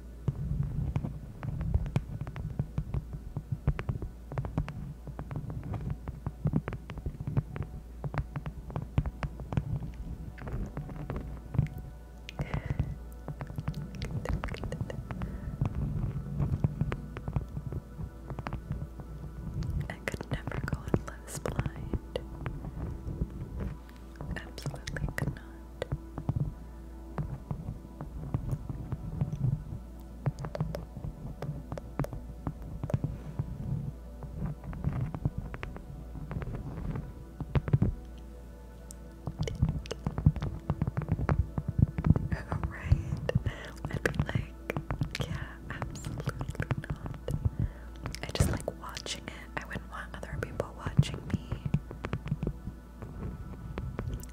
I could never go unless blind. Absolutely could right? I'd be like, yeah, absolutely not. I just like watching it. I wouldn't want other people watching me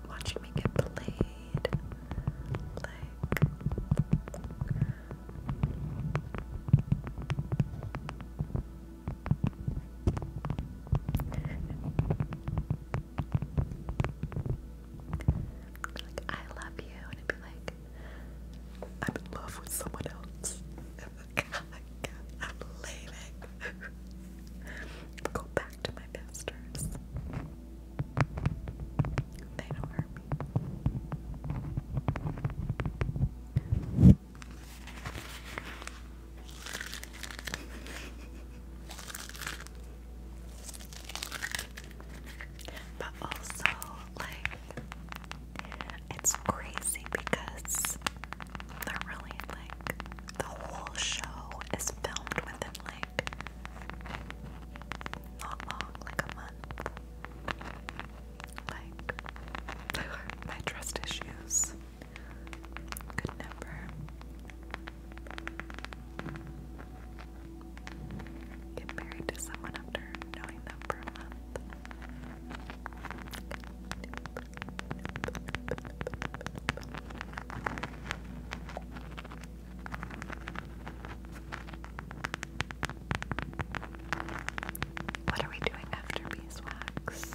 watching me get played. Like, I love you, and it'd be like, I'm in love with someone else. [LAUGHS] I'm leaving. [LAUGHS] Go back to my pastors. They don't hurt me. But also, like, it's crazy because they're really like the whole show is filmed within like not long, like a month. Like [LAUGHS] my trust issues. Good number. Get married to someone after knowing them for a month. What are we doing after beeswax?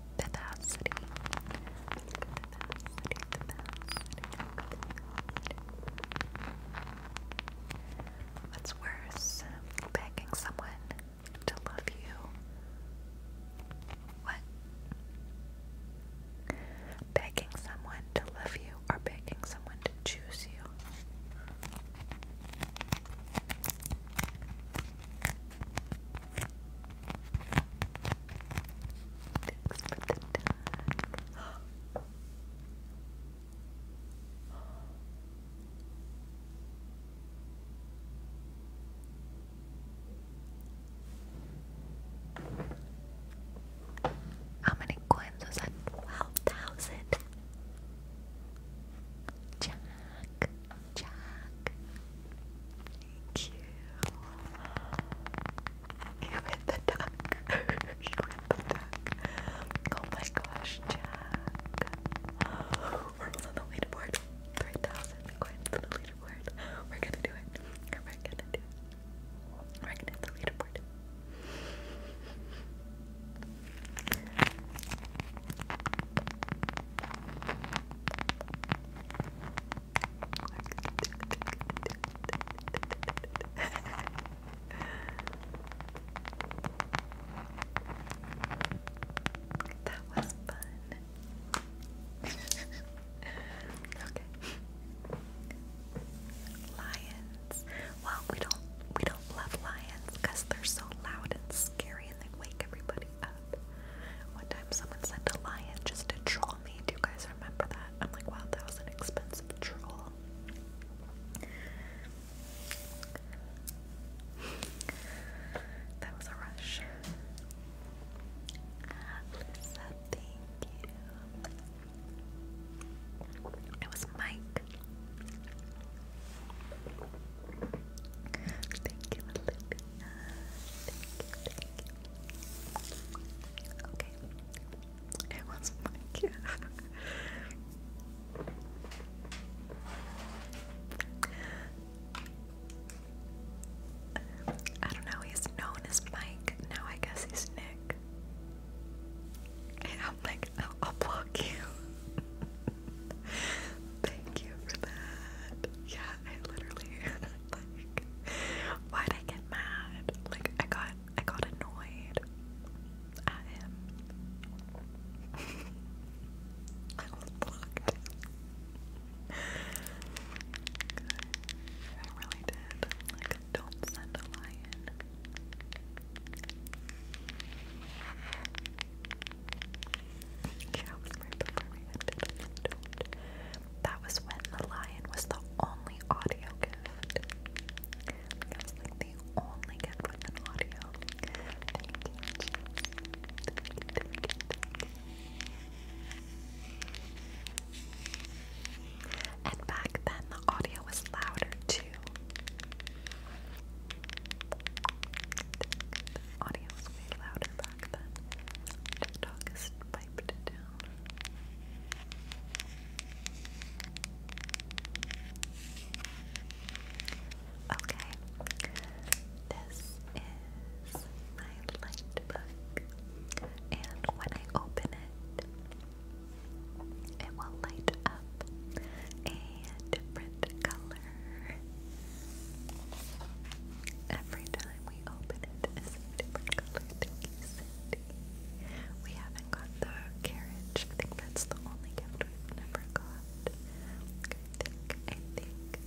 vivacity. Vivacity, vivacity. What's worse, begging someone to love you? What? Begging someone to love you or begging someone to choose you? Thanks for How many coins was that? Twelve thousand. Jack, Jack, Thank you. You hit the duck. [LAUGHS] you hit the duck. Oh my gosh, Jack. We're on the leaderboard. 3,000 coins on the leaderboard. We're gonna do it. We're gonna do it. We're gonna hit the leaderboard that was fun. okay. Lions. Well, we don't we don't love lions because they're so loud and scary and they wake everybody up. One time someone sent a lion just to draw do you guys remember that? I'm like, wow, that was an expensive troll. That was a rush. Lisa, thank you. It was Mike. Thank you, Olivia. Thank you, thank you, Okay. It was my [LAUGHS] I don't know, he's known as Mike, now I guess he's Nick. Yeah, I'm like, I'll block you. [LAUGHS] Thank you for that. Yeah, I literally [LAUGHS] like why'd I get mad? Like I got I got annoyed at him. [LAUGHS] I was blocked. I really did. Like don't send a lion. Yeah, it was right before we ended. That was when the lion was the only audio gift. That was like the only gift with an audio. And back then the audio was louder too. The audio was way louder back then. TikTok is piped it Okay, this is my light book, and when I open it, it will light up a different color every time we open it is a different color. Thank you, Cindy. We haven't got the carriage. I think that's the only gift we've never got. I think, I think.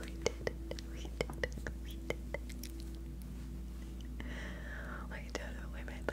We did We did We did We did it. We made the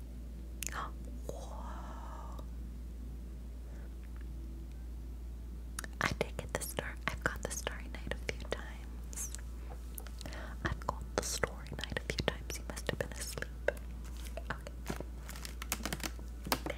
Whoa. I did get the star. I've got the Starry Night a few times. I've got the Starry Night a few times. You must have been asleep. Okay,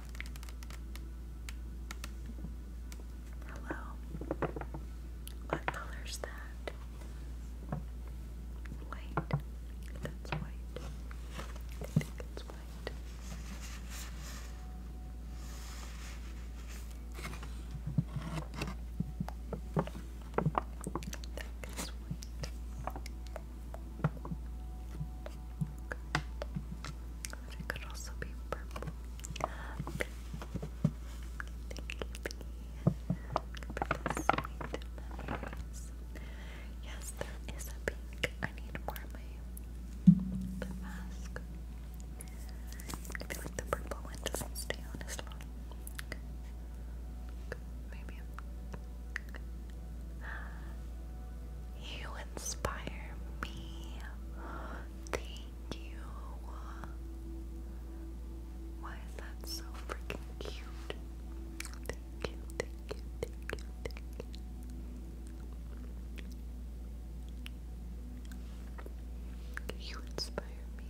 Hello. What color's that? White. That's white. I think it's white. That white it could also be purple. Thank you, Yes, there is a pink. I need more my mask. I feel like the purple one doesn't stay on as long. Maybe you inspire me. Thank you. Why is that so freaking cute? Thank you, thank you, thank you, thank you. You inspire me.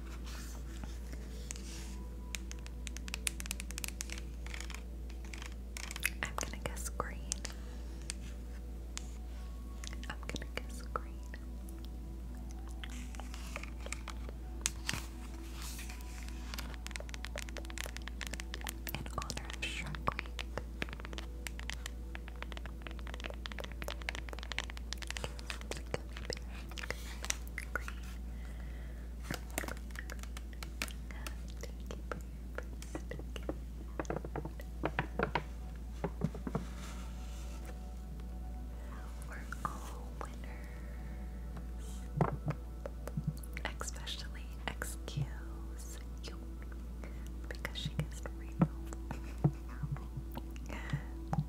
I'm gonna guess green. I'm gonna guess green. In honor of Shark Week. We're all winners, especially excuse you because she gets real. [LAUGHS]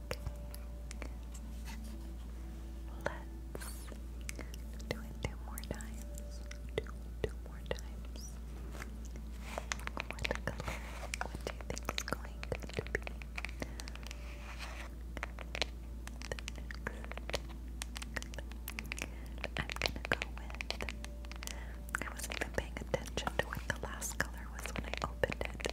Let's do it two more times. Two, two more times. What do you think is going to be I'm gonna go with. I wasn't even paying attention to what the last color was when I opened it.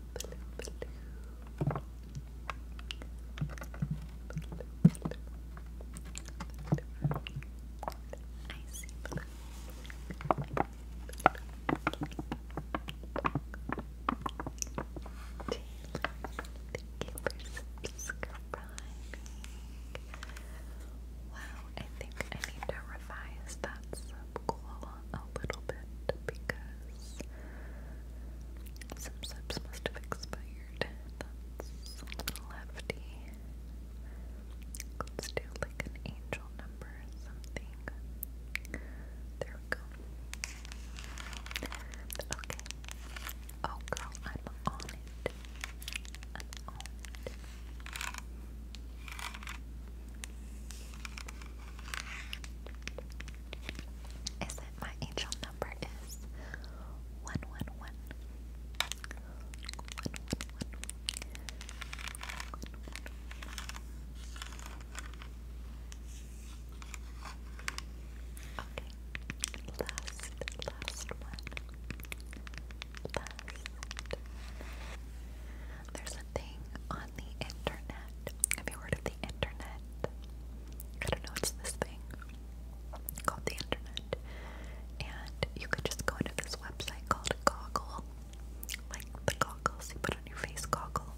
blue, blue, thank you Wow, I think I need to revise that sub a little bit because some subs must have expired. That's a little hefty. Let's do like an angel number or something. There we go. Okay. Oh girl, I'm on it. I'm on it is that my angel number is one one one. One, one, one. One, one, one. Okay. Last, last one. Last there's a thing on the internet. Have you heard of the internet? I don't know, it's this thing called the internet. And you could just go into this website called Goggle. Like the goggles you put on your face goggle.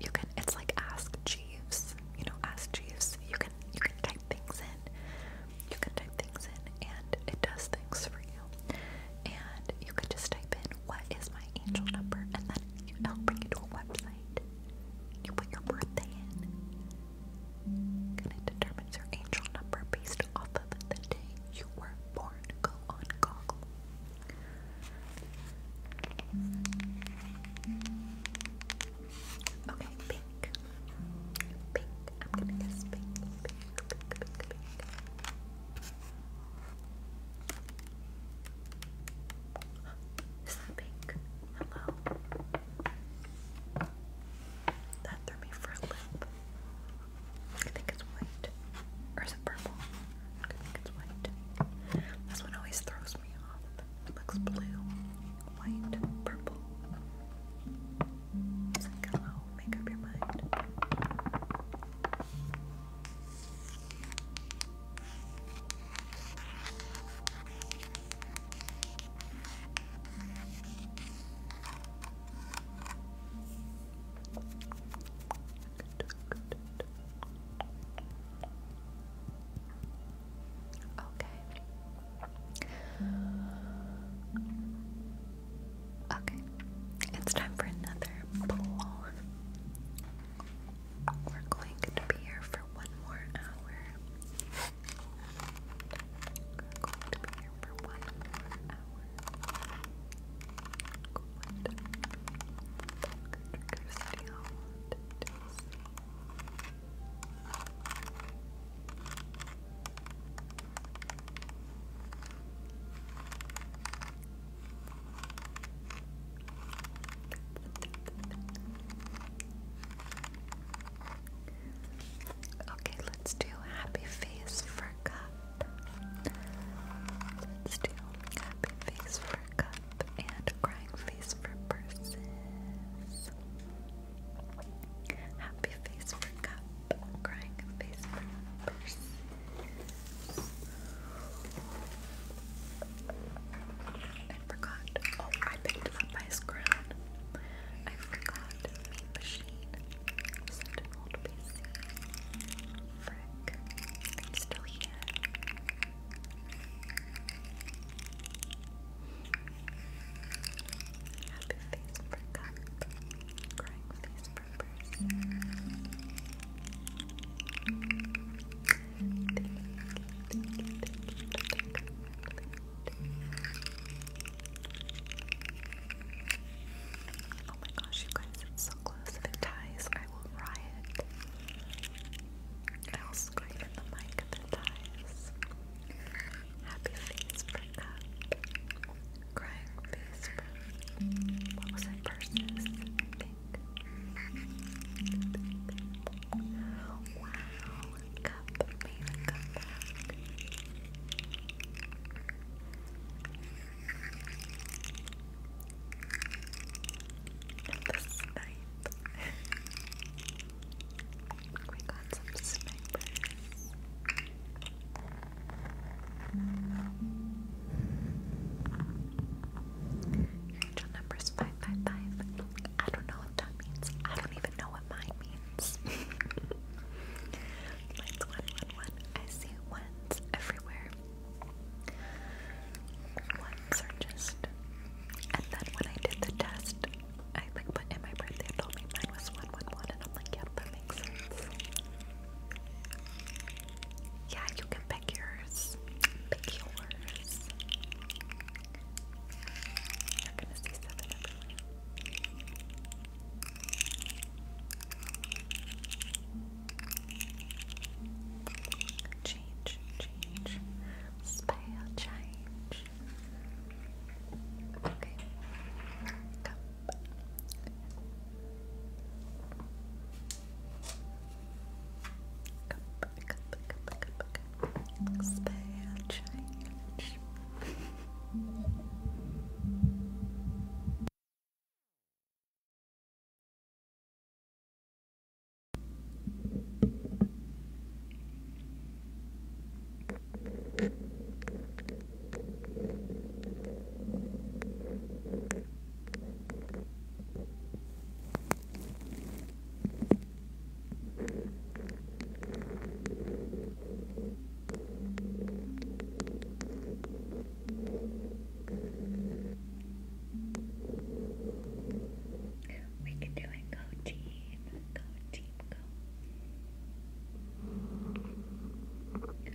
You can it's like ask Jeeves. You know, ask Jeeves. You can you can type things in. You can type things in and it does things for you and you could just type in what is my angel number, and then it'll bring you to a website. You put your birthday in, and it determines your angel number based off of the day you were born. Go on Google. Okay, pink. Pink. I'm gonna guess pink. Pink, pink, pink, pink. Is that pink? Hello. That threw me for a loop. I think it's white. Or is it purple? I think it's white. This one always throws me off. It looks blue, white, purple. It's like, hello, make up your mind. Okay. Okay. It's time for another pull. We're going to be here for one more hour. We're going to be here for one more hour. Good. Trigger video. Good. Okay, let's do happy face for cup. Let's do happy face for cup and crying face for purses. Happy face for cup, crying face for purses. I forgot. Oh, I picked up my scroll. I forgot Frick. I'm still here. Happy face for cup. Crying face Thank you, Oh my gosh, you guys, so close. If it ties, I will riot. I'll scream in the mic if it ties. Happy face for cup. Crying face for. What was it? Purses. Wow, cup made a comeback. The snipe. we got some snipers. Angel number's 555. I don't know what that means. I don't even know what mine means. [LAUGHS] Mine's 111. I see ones everywhere. Ones are just. And then when I did the test, I like put in my birthday and told me mine was 111, and I'm like, yep, that makes sense. Yeah, you can pick yours. Pick yours. Change, change, spell change. Okay, cup. Cup, cup, change. We can do it. Go team. Go team. Go. Go team.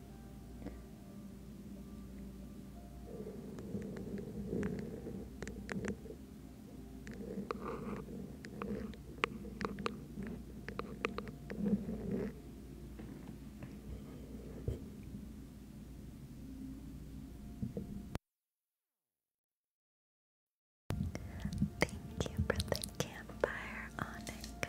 Thank you for the campfire, Onika.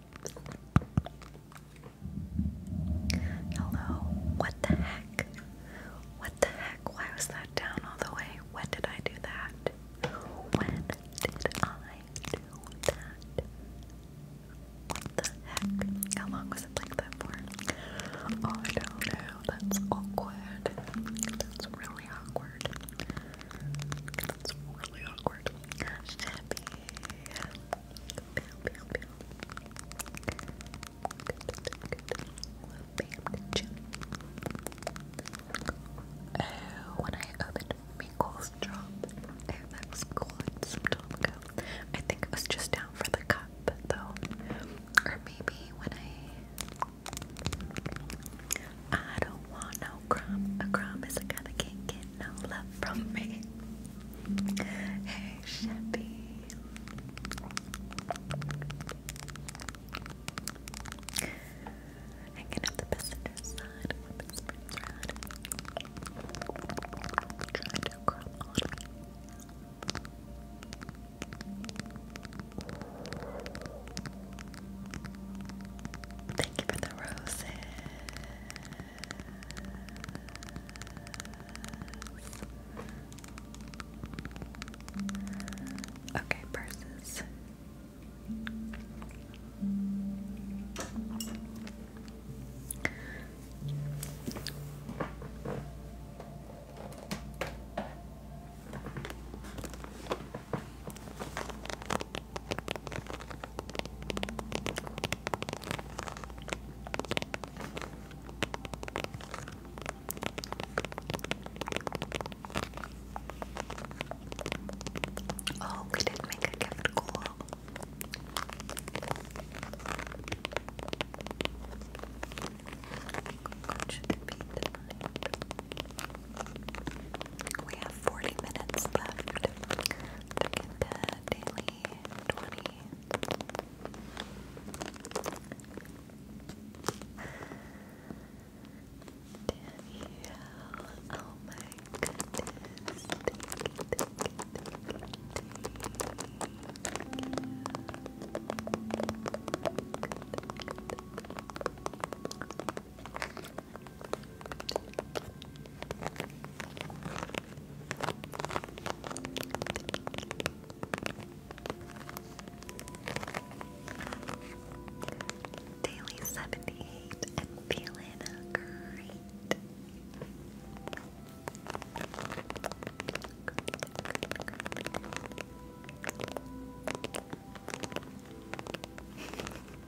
Hello. What the heck? What the heck? Why was that down all the way? When did I do that? When did I do that? What the heck? How long was it like that for? Oh, I don't know. That's awkward. That's really awkward. That's really awkward. Shippy. Oh, when I opened Minkle's drop, oh, that was cool some time ago. I think it was just down for the cup, though. Or maybe when I. I don't wanna no crumb. A crumb is a guy that can't get no love from me. Hey, Sheppy. Hanging up the passenger side Thank you for the roses. Okay, purses. Oh, we did make a gift goal. 40 minutes left 20. oh my goodness. Thank you. Daily 78 and feeling great.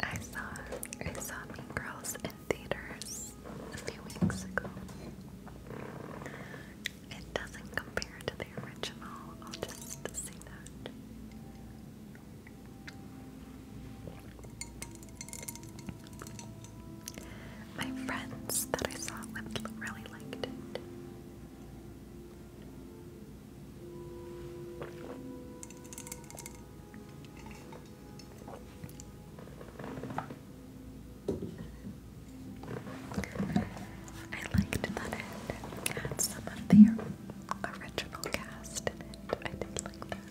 I saw I saw Mean Girls in theaters a few weeks ago. It doesn't compare to the original. I'll just say that. My friends that I saw really liked it. I liked that end. had some of the original cast in it. I did like that.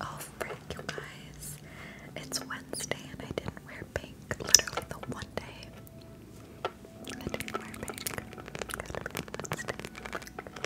Oh frick you guys. It's Wednesday and I didn't wear pink. Literally the one day. I didn't wear pink.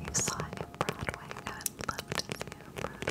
You saw it in Broadway. I would it on Broadway.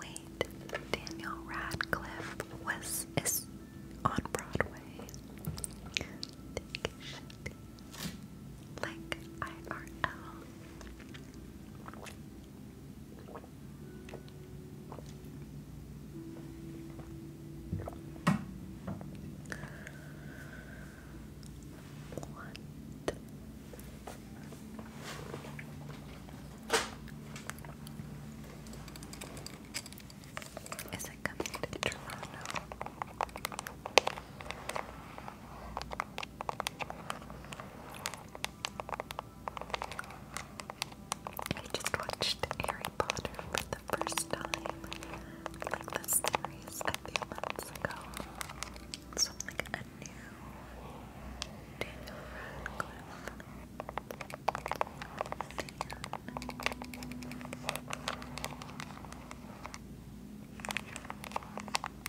Wait, Daniel Radcliffe was on Broadway like IRL. What? Is it coming to Toronto? I just watched Harry Potter for the first time, like the series a few months ago. So like a new Daniel Radcliffe.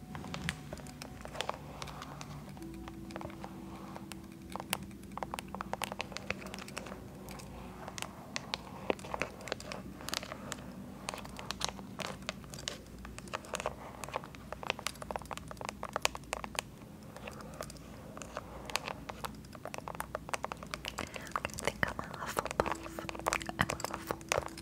I think I'm a Hufflepuff. I'm a Hufflepuff.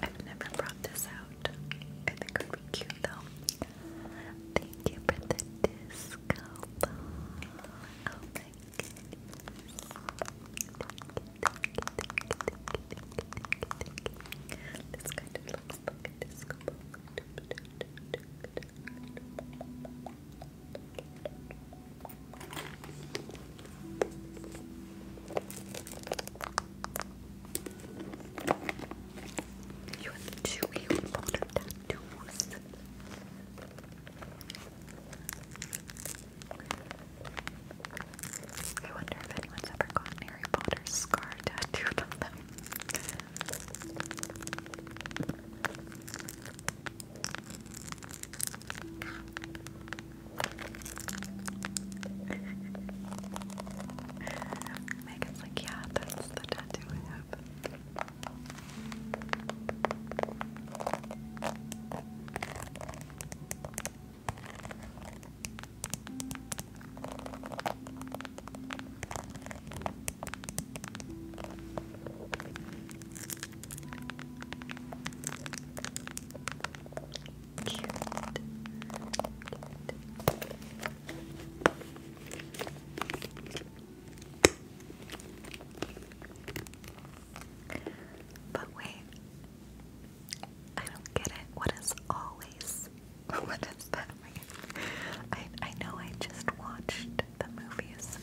I've never brought this out. I think it would be cute though. Thank you for the disco ball. You have two cute water tattoos. I wonder if anyone's ever gotten Harry Potter's scar tattooed on them. Megan's like, yeah, that's the tattoo I have. Cute. Cute. But wait, I don't get it. What is always? [LAUGHS] What is that? I, I know I just watched the movies.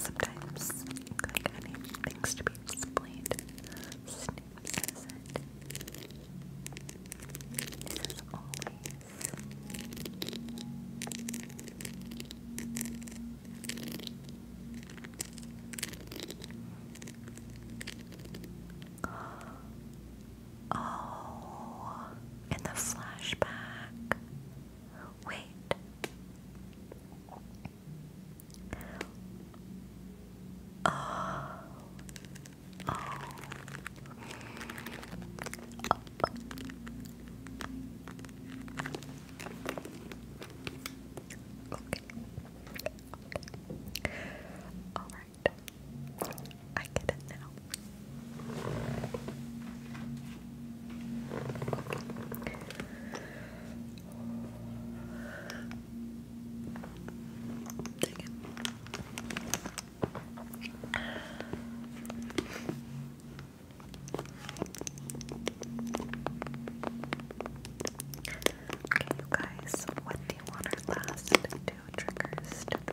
Sometimes, like, I need things to be explained. Snoop says always. Oh, in the flashback. Wait. Oh. Oh. oh. All right. I get it now. Okay, guys, what do you want our last two triggers to be?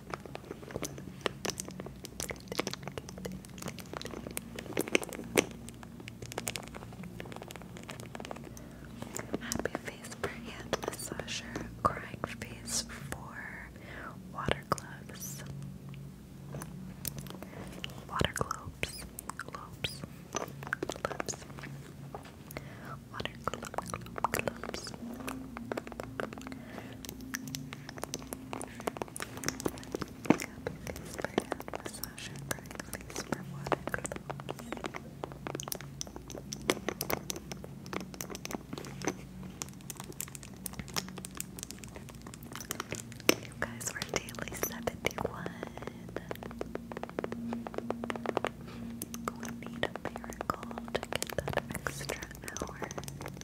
Happy face for hand massager, crying face for water gloves. Water globes, globes, globes. Water globe, globes. Please for massage and crying. Please for You guys were daily 71. We need a miracle to get that extra hour.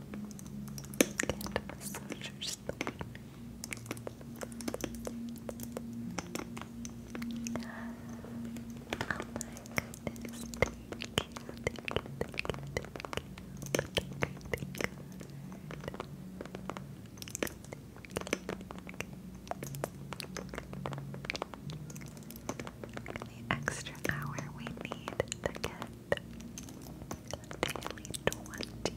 thank you, The extra hour we need to get Daily 20.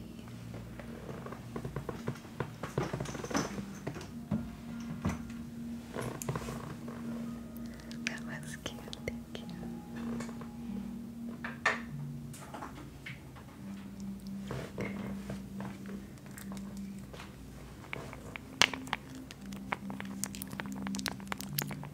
That was cute, thank you.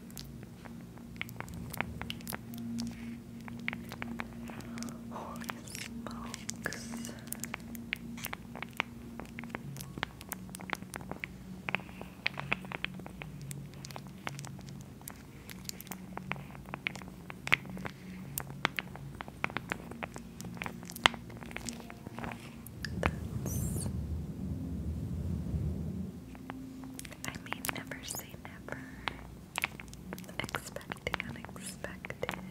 Holy smokes. That's... I mean, never say never. Expect the unexpected. [LAUGHS]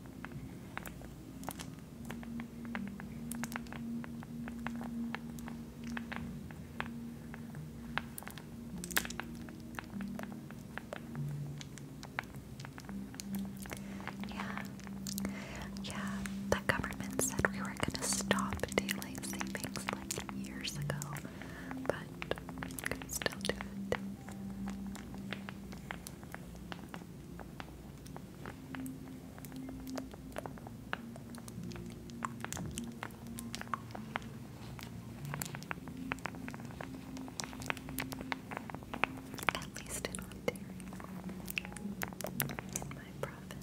Yeah, yeah, the government said we were gonna stop daylight savings like years ago, but we can still do it. At least in Ontario, in my province.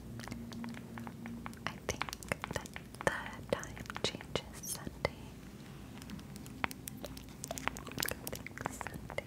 I think that the time changes Sunday. I think Sunday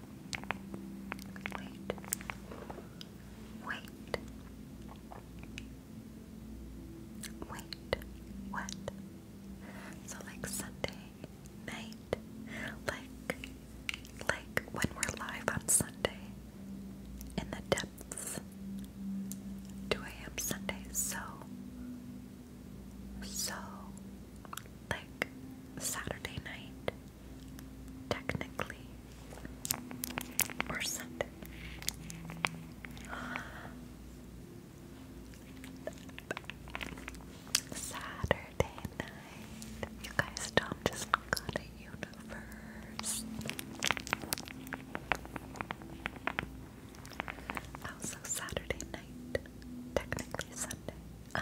Wait. Wait. Wait. What? So like Sunday night? Like like when we're live on Sunday in the depths. 2 a.m. Sunday, so so like Saturday night, technically, or Sunday. Saturday night. You guys, Tom just got a universe. Also, Saturday night. Technically, Sunday. Uh,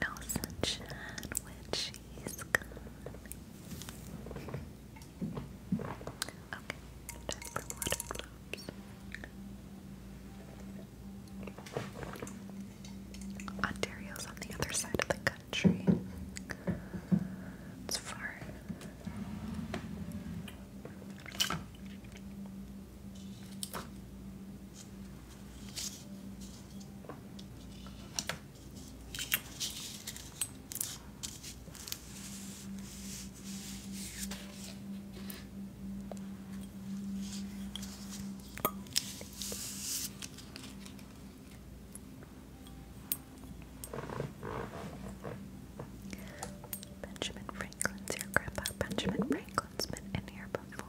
no sunshine when she's gone. Okay, Ontario's on the other side of the country. It's far. Benjamin Franklin's your grandpa. Benjamin Franklin's been in here before.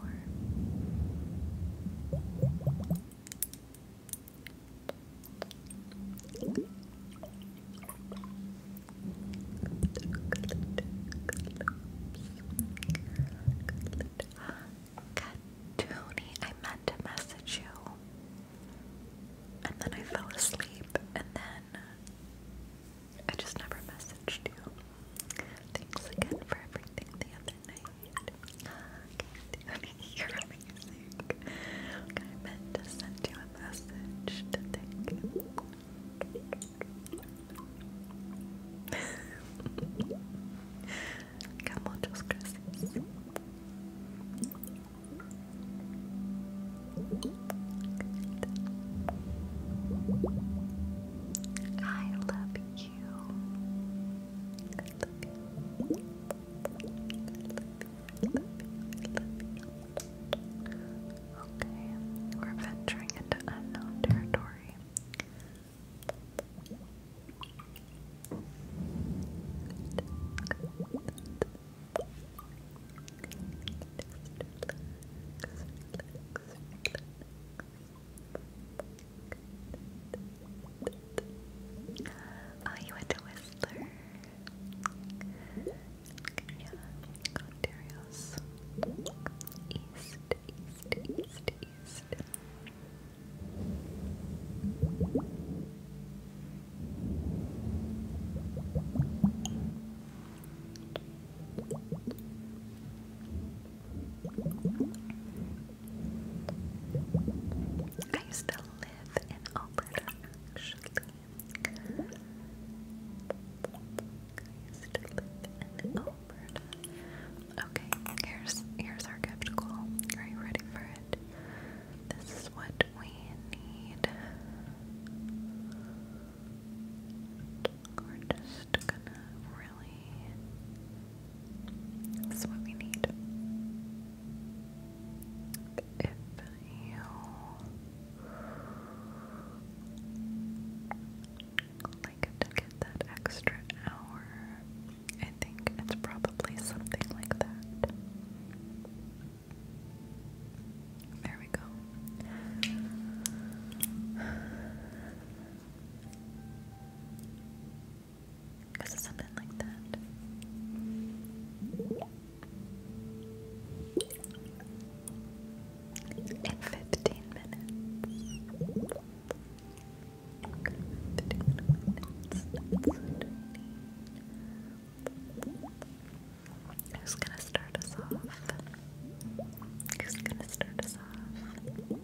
I meant to message you, and then I fell asleep, and then I just never messaged you. Thanks again for everything the you're amazing. I meant to send you a message to thank you. que muchos gracias. Good. I love you you. you. Okay, we're venturing into unknown territory. Oh, you went to Whistler. Yeah, Ontario's east, east, east, east. I used to live in Alberta, actually. I used to live in Alberta. Okay, here's here's our gift Are you ready for it? This is what we need. Gorgeous just gonna really. That's what we need. If you like to get that extra hour, I think it's probably something like that. There we go. Because of something like that. In 15 minutes. Who's gonna start us off? Who's gonna start us off?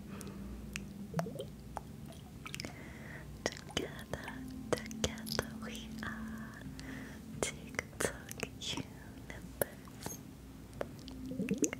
Together, together we are TikTok universe. [LAUGHS]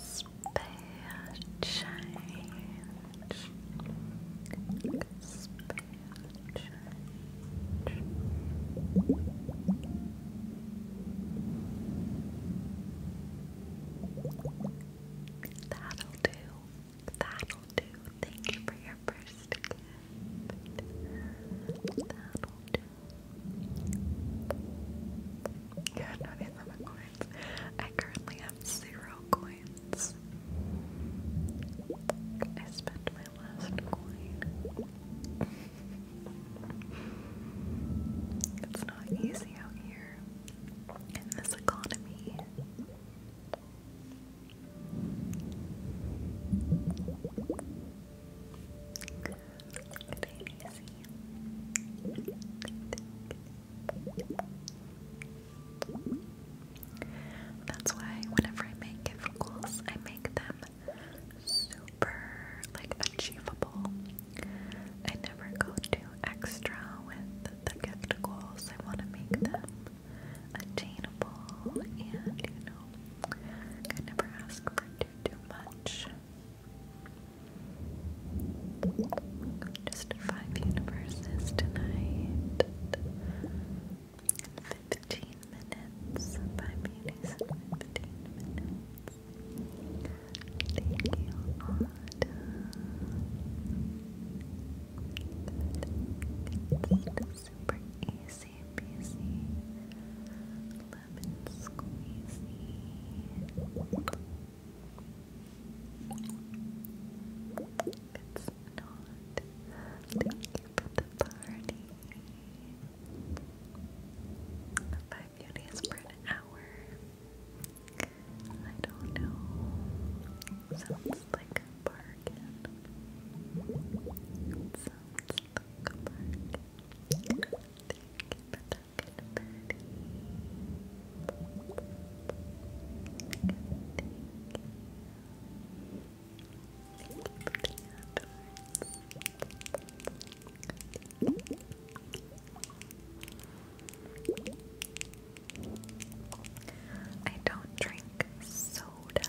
Spare change. Spare That'll do. That'll do. Thank you for your first gift. That'll do. You have 97 coins. I currently have zero coins. I spent my my last it's not easy out here in this economy. That's why whenever I make gift goals, I make them super like achievable. I never go too extra with the gift goals. I want to make them attainable and you know I never ask for too much. Just five universes tonight. 15 minutes by Beauties in 15 minutes. Thank you, Autumn. It's super easy peasy. Lemon squeezy. It's not. Thank you for the party. Five beauties for an hour. I don't know. Sounds like a bargain. sounds like a bargain. Thank you for talking, Betty. Thank you. I don't drink soda.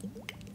thank you.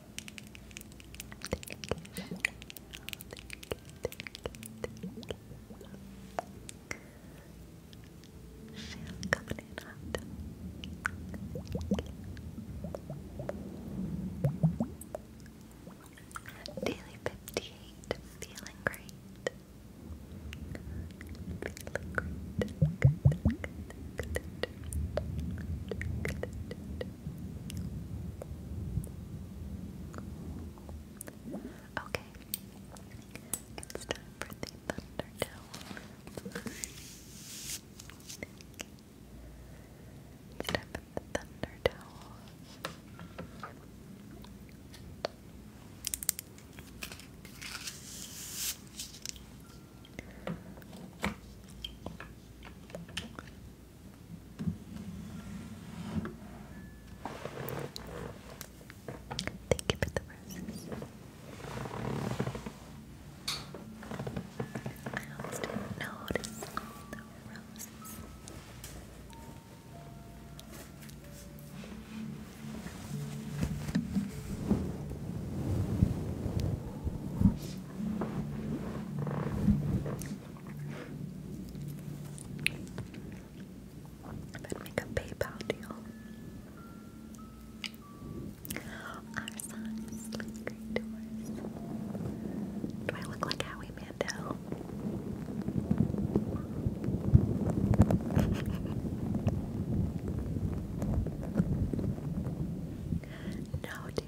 Feel coming in hot. Daily 58, feeling great. Feeling great. Okay, it's time for the thunder towel. It's time the thunder towel. Thank you for the roses. I almost didn't notice all the roses. I'd make a PayPal deal. Our songs lead great Do I look like Howie Mandel? [LAUGHS] no, dear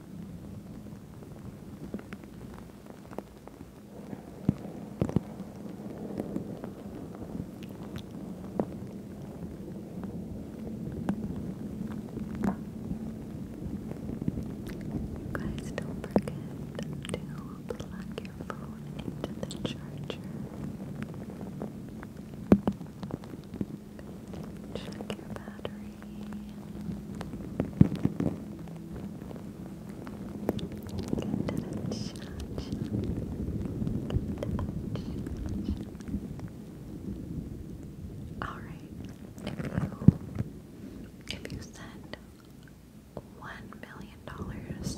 You guys don't forget to plug your phone into the charger. Check your battery. Get to the All right. if you send one million dollars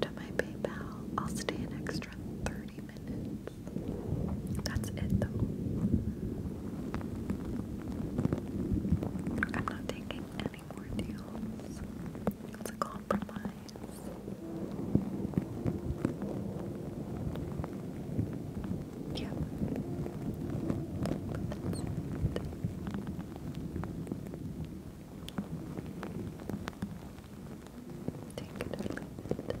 to my PayPal, I'll stay an extra thirty minutes. That's it though. I'm not taking any more deals. It's a compromise. Yeah. That's it. Take it or leave it.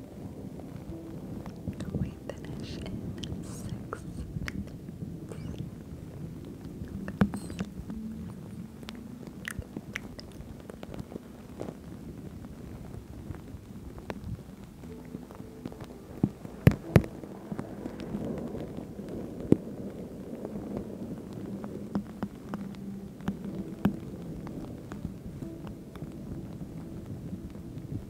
We finish in six minutes.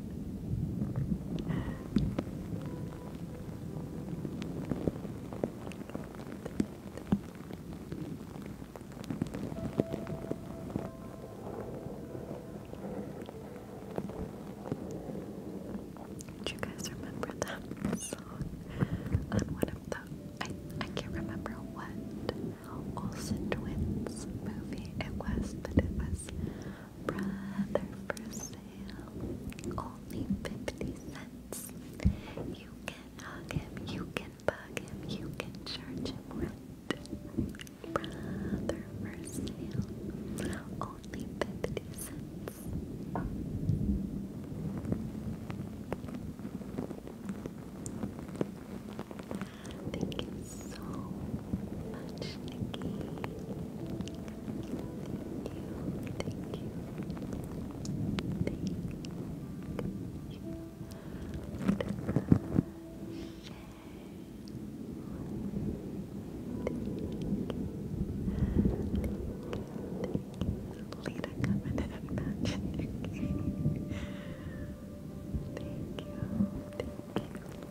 Do you guys remember that song on one of the I I can't remember what Olsen Twins movie it was, but it was brother for sale. Only 50 cents. You can hug him, you can bug him, you can charge him rent. Brother for sale. Only 50 cents. Thank you so much, Nikki. Thank you, thank you, thank you. Lita coming in and matching Thank you, thank you,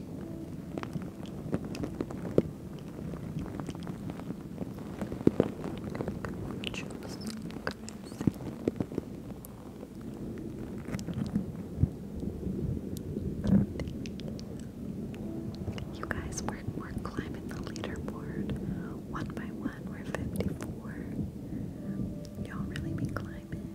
You guys, we're, we're climbing the leaderboard one by one. We're 54. Y'all really be climbing.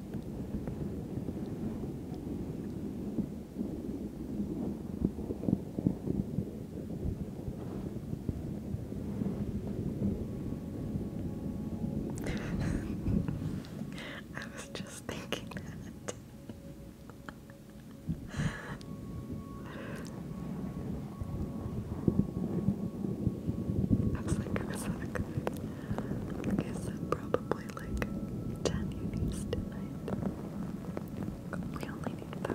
[LAUGHS] I was just thinking that. I like, I was I is probably like 10 units tonight. We only need five.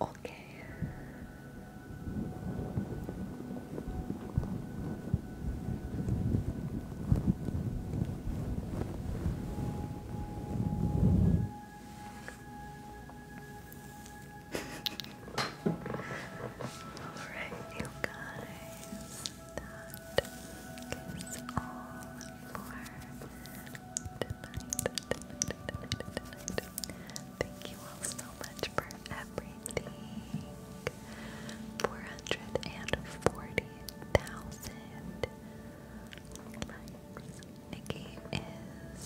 Okay. all right, you guys. That is all for Thank you all so much for everything. 440,000 likes. Nikki is,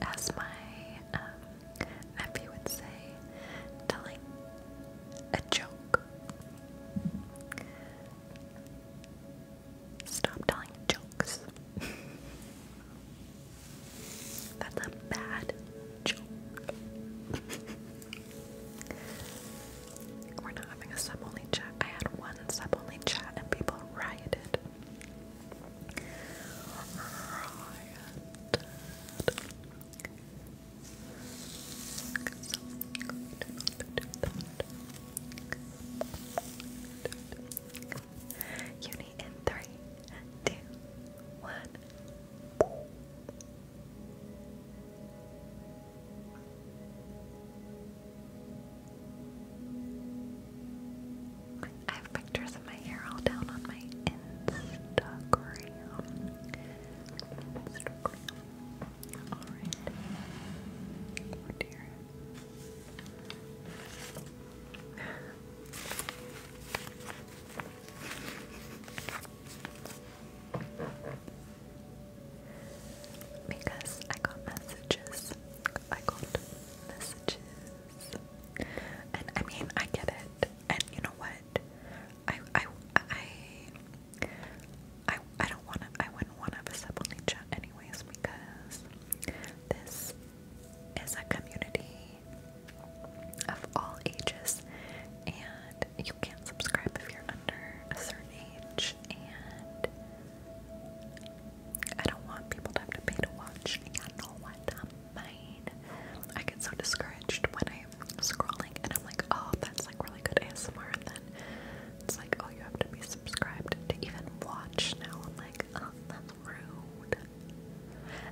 as my um, nephew would say, telling a joke. Stop telling jokes. [LAUGHS] That's a bad joke. We're not having a sub only chat. I had one sub only chat and people rioted. Uni in three, two, one. I have pictures of my hair all down on my Instagram. Alright. dear because I got messages. I got messages. And I mean, I get it. And you know what? I I I I, I don't want to I wouldn't want to have a sub chat anyways because this is a community of all ages, and you can subscribe if you're under a certain age. And I don't want people to have to pay to watch. I know what I mean. I get so discouraged when I'm scrolling, and I'm like, oh, that's like really good ASMR, and then it's like, oh, you have to be subscribed to even watch now. I'm um, that's rude.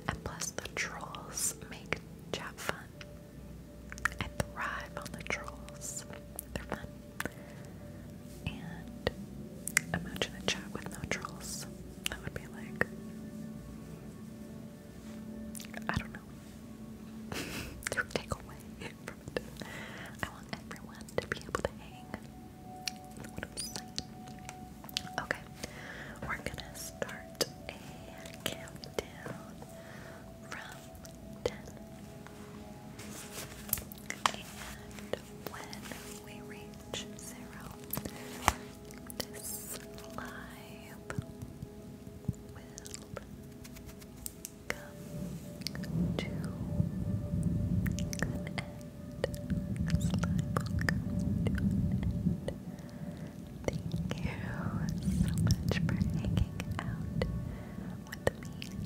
And plus, the trolls make chat fun. I thrive on the trolls. They're fun. And imagine a chat with no trolls. That would be like, I don't know. it [LAUGHS] would take away from it. I want everyone to be able to hang Okay, we're gonna start a countdown from ten, and when we reach zero, this live will come to an end. Thank you so much for hanging out with me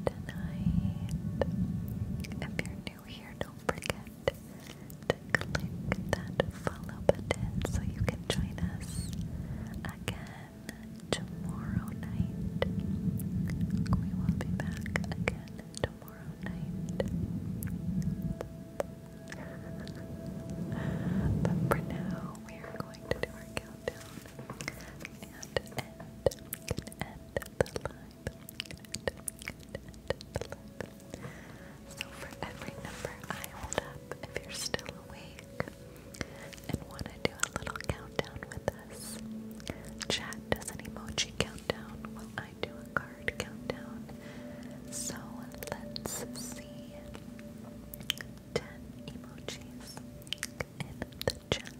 tonight. If you're new here, don't forget to click that follow button so you can join us again tomorrow night. We will be back again tomorrow but for now, we are going to do our countdown So for every number I hold up, if you're still awake and want to do a little countdown with us, chat does an emoji count countdown when I do a card countdown. So let's see 10 emojis in the chat.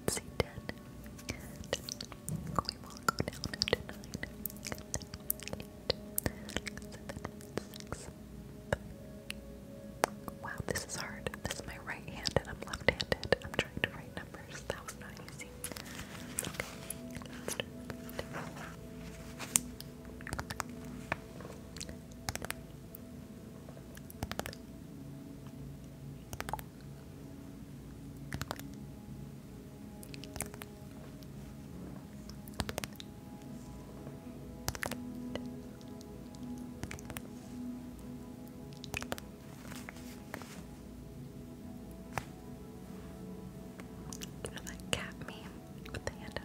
Let's see 10. Ten. Wow, this is hard. This is my right hand and I'm left handed. I'm trying to write numbers. That was not easy. Okay. You know that cat meme with the hand Nine.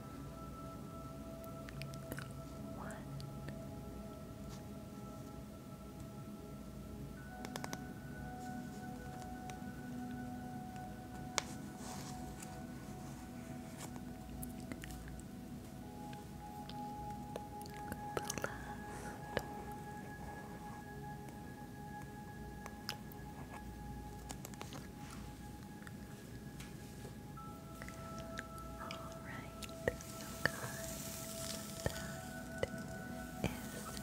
one. The last. Alright, you that is it for tonight. hope you're feeling very relaxed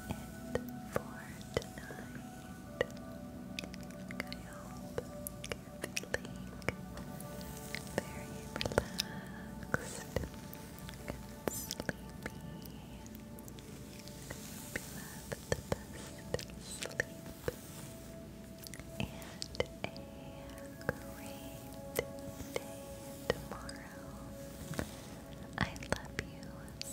and sleepy. you have the best sleep and a great day tomorrow. I love you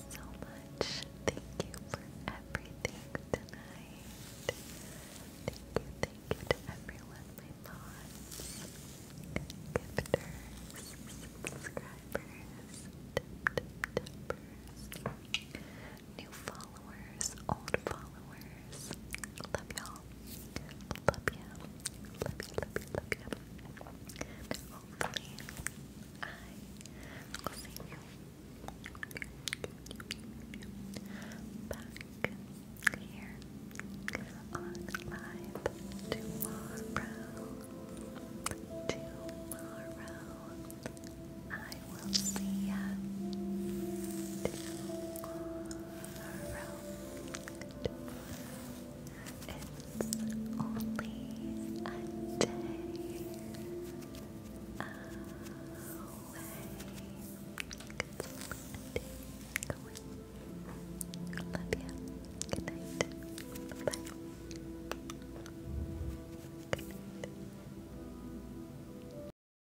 so much. Thank you for everything tonight. Thank you, thank you to everyone, my thoughts, gifters, subscribers, tip, tip, new followers, old followers. Love y'all. Love ya. Love ya, love ya, love ya. Hopefully, I will see you back here on live tomorrow. Tomorrow, I I will see ya tomorrow. It's only a day away. a day away. Love you. Good night. Bye.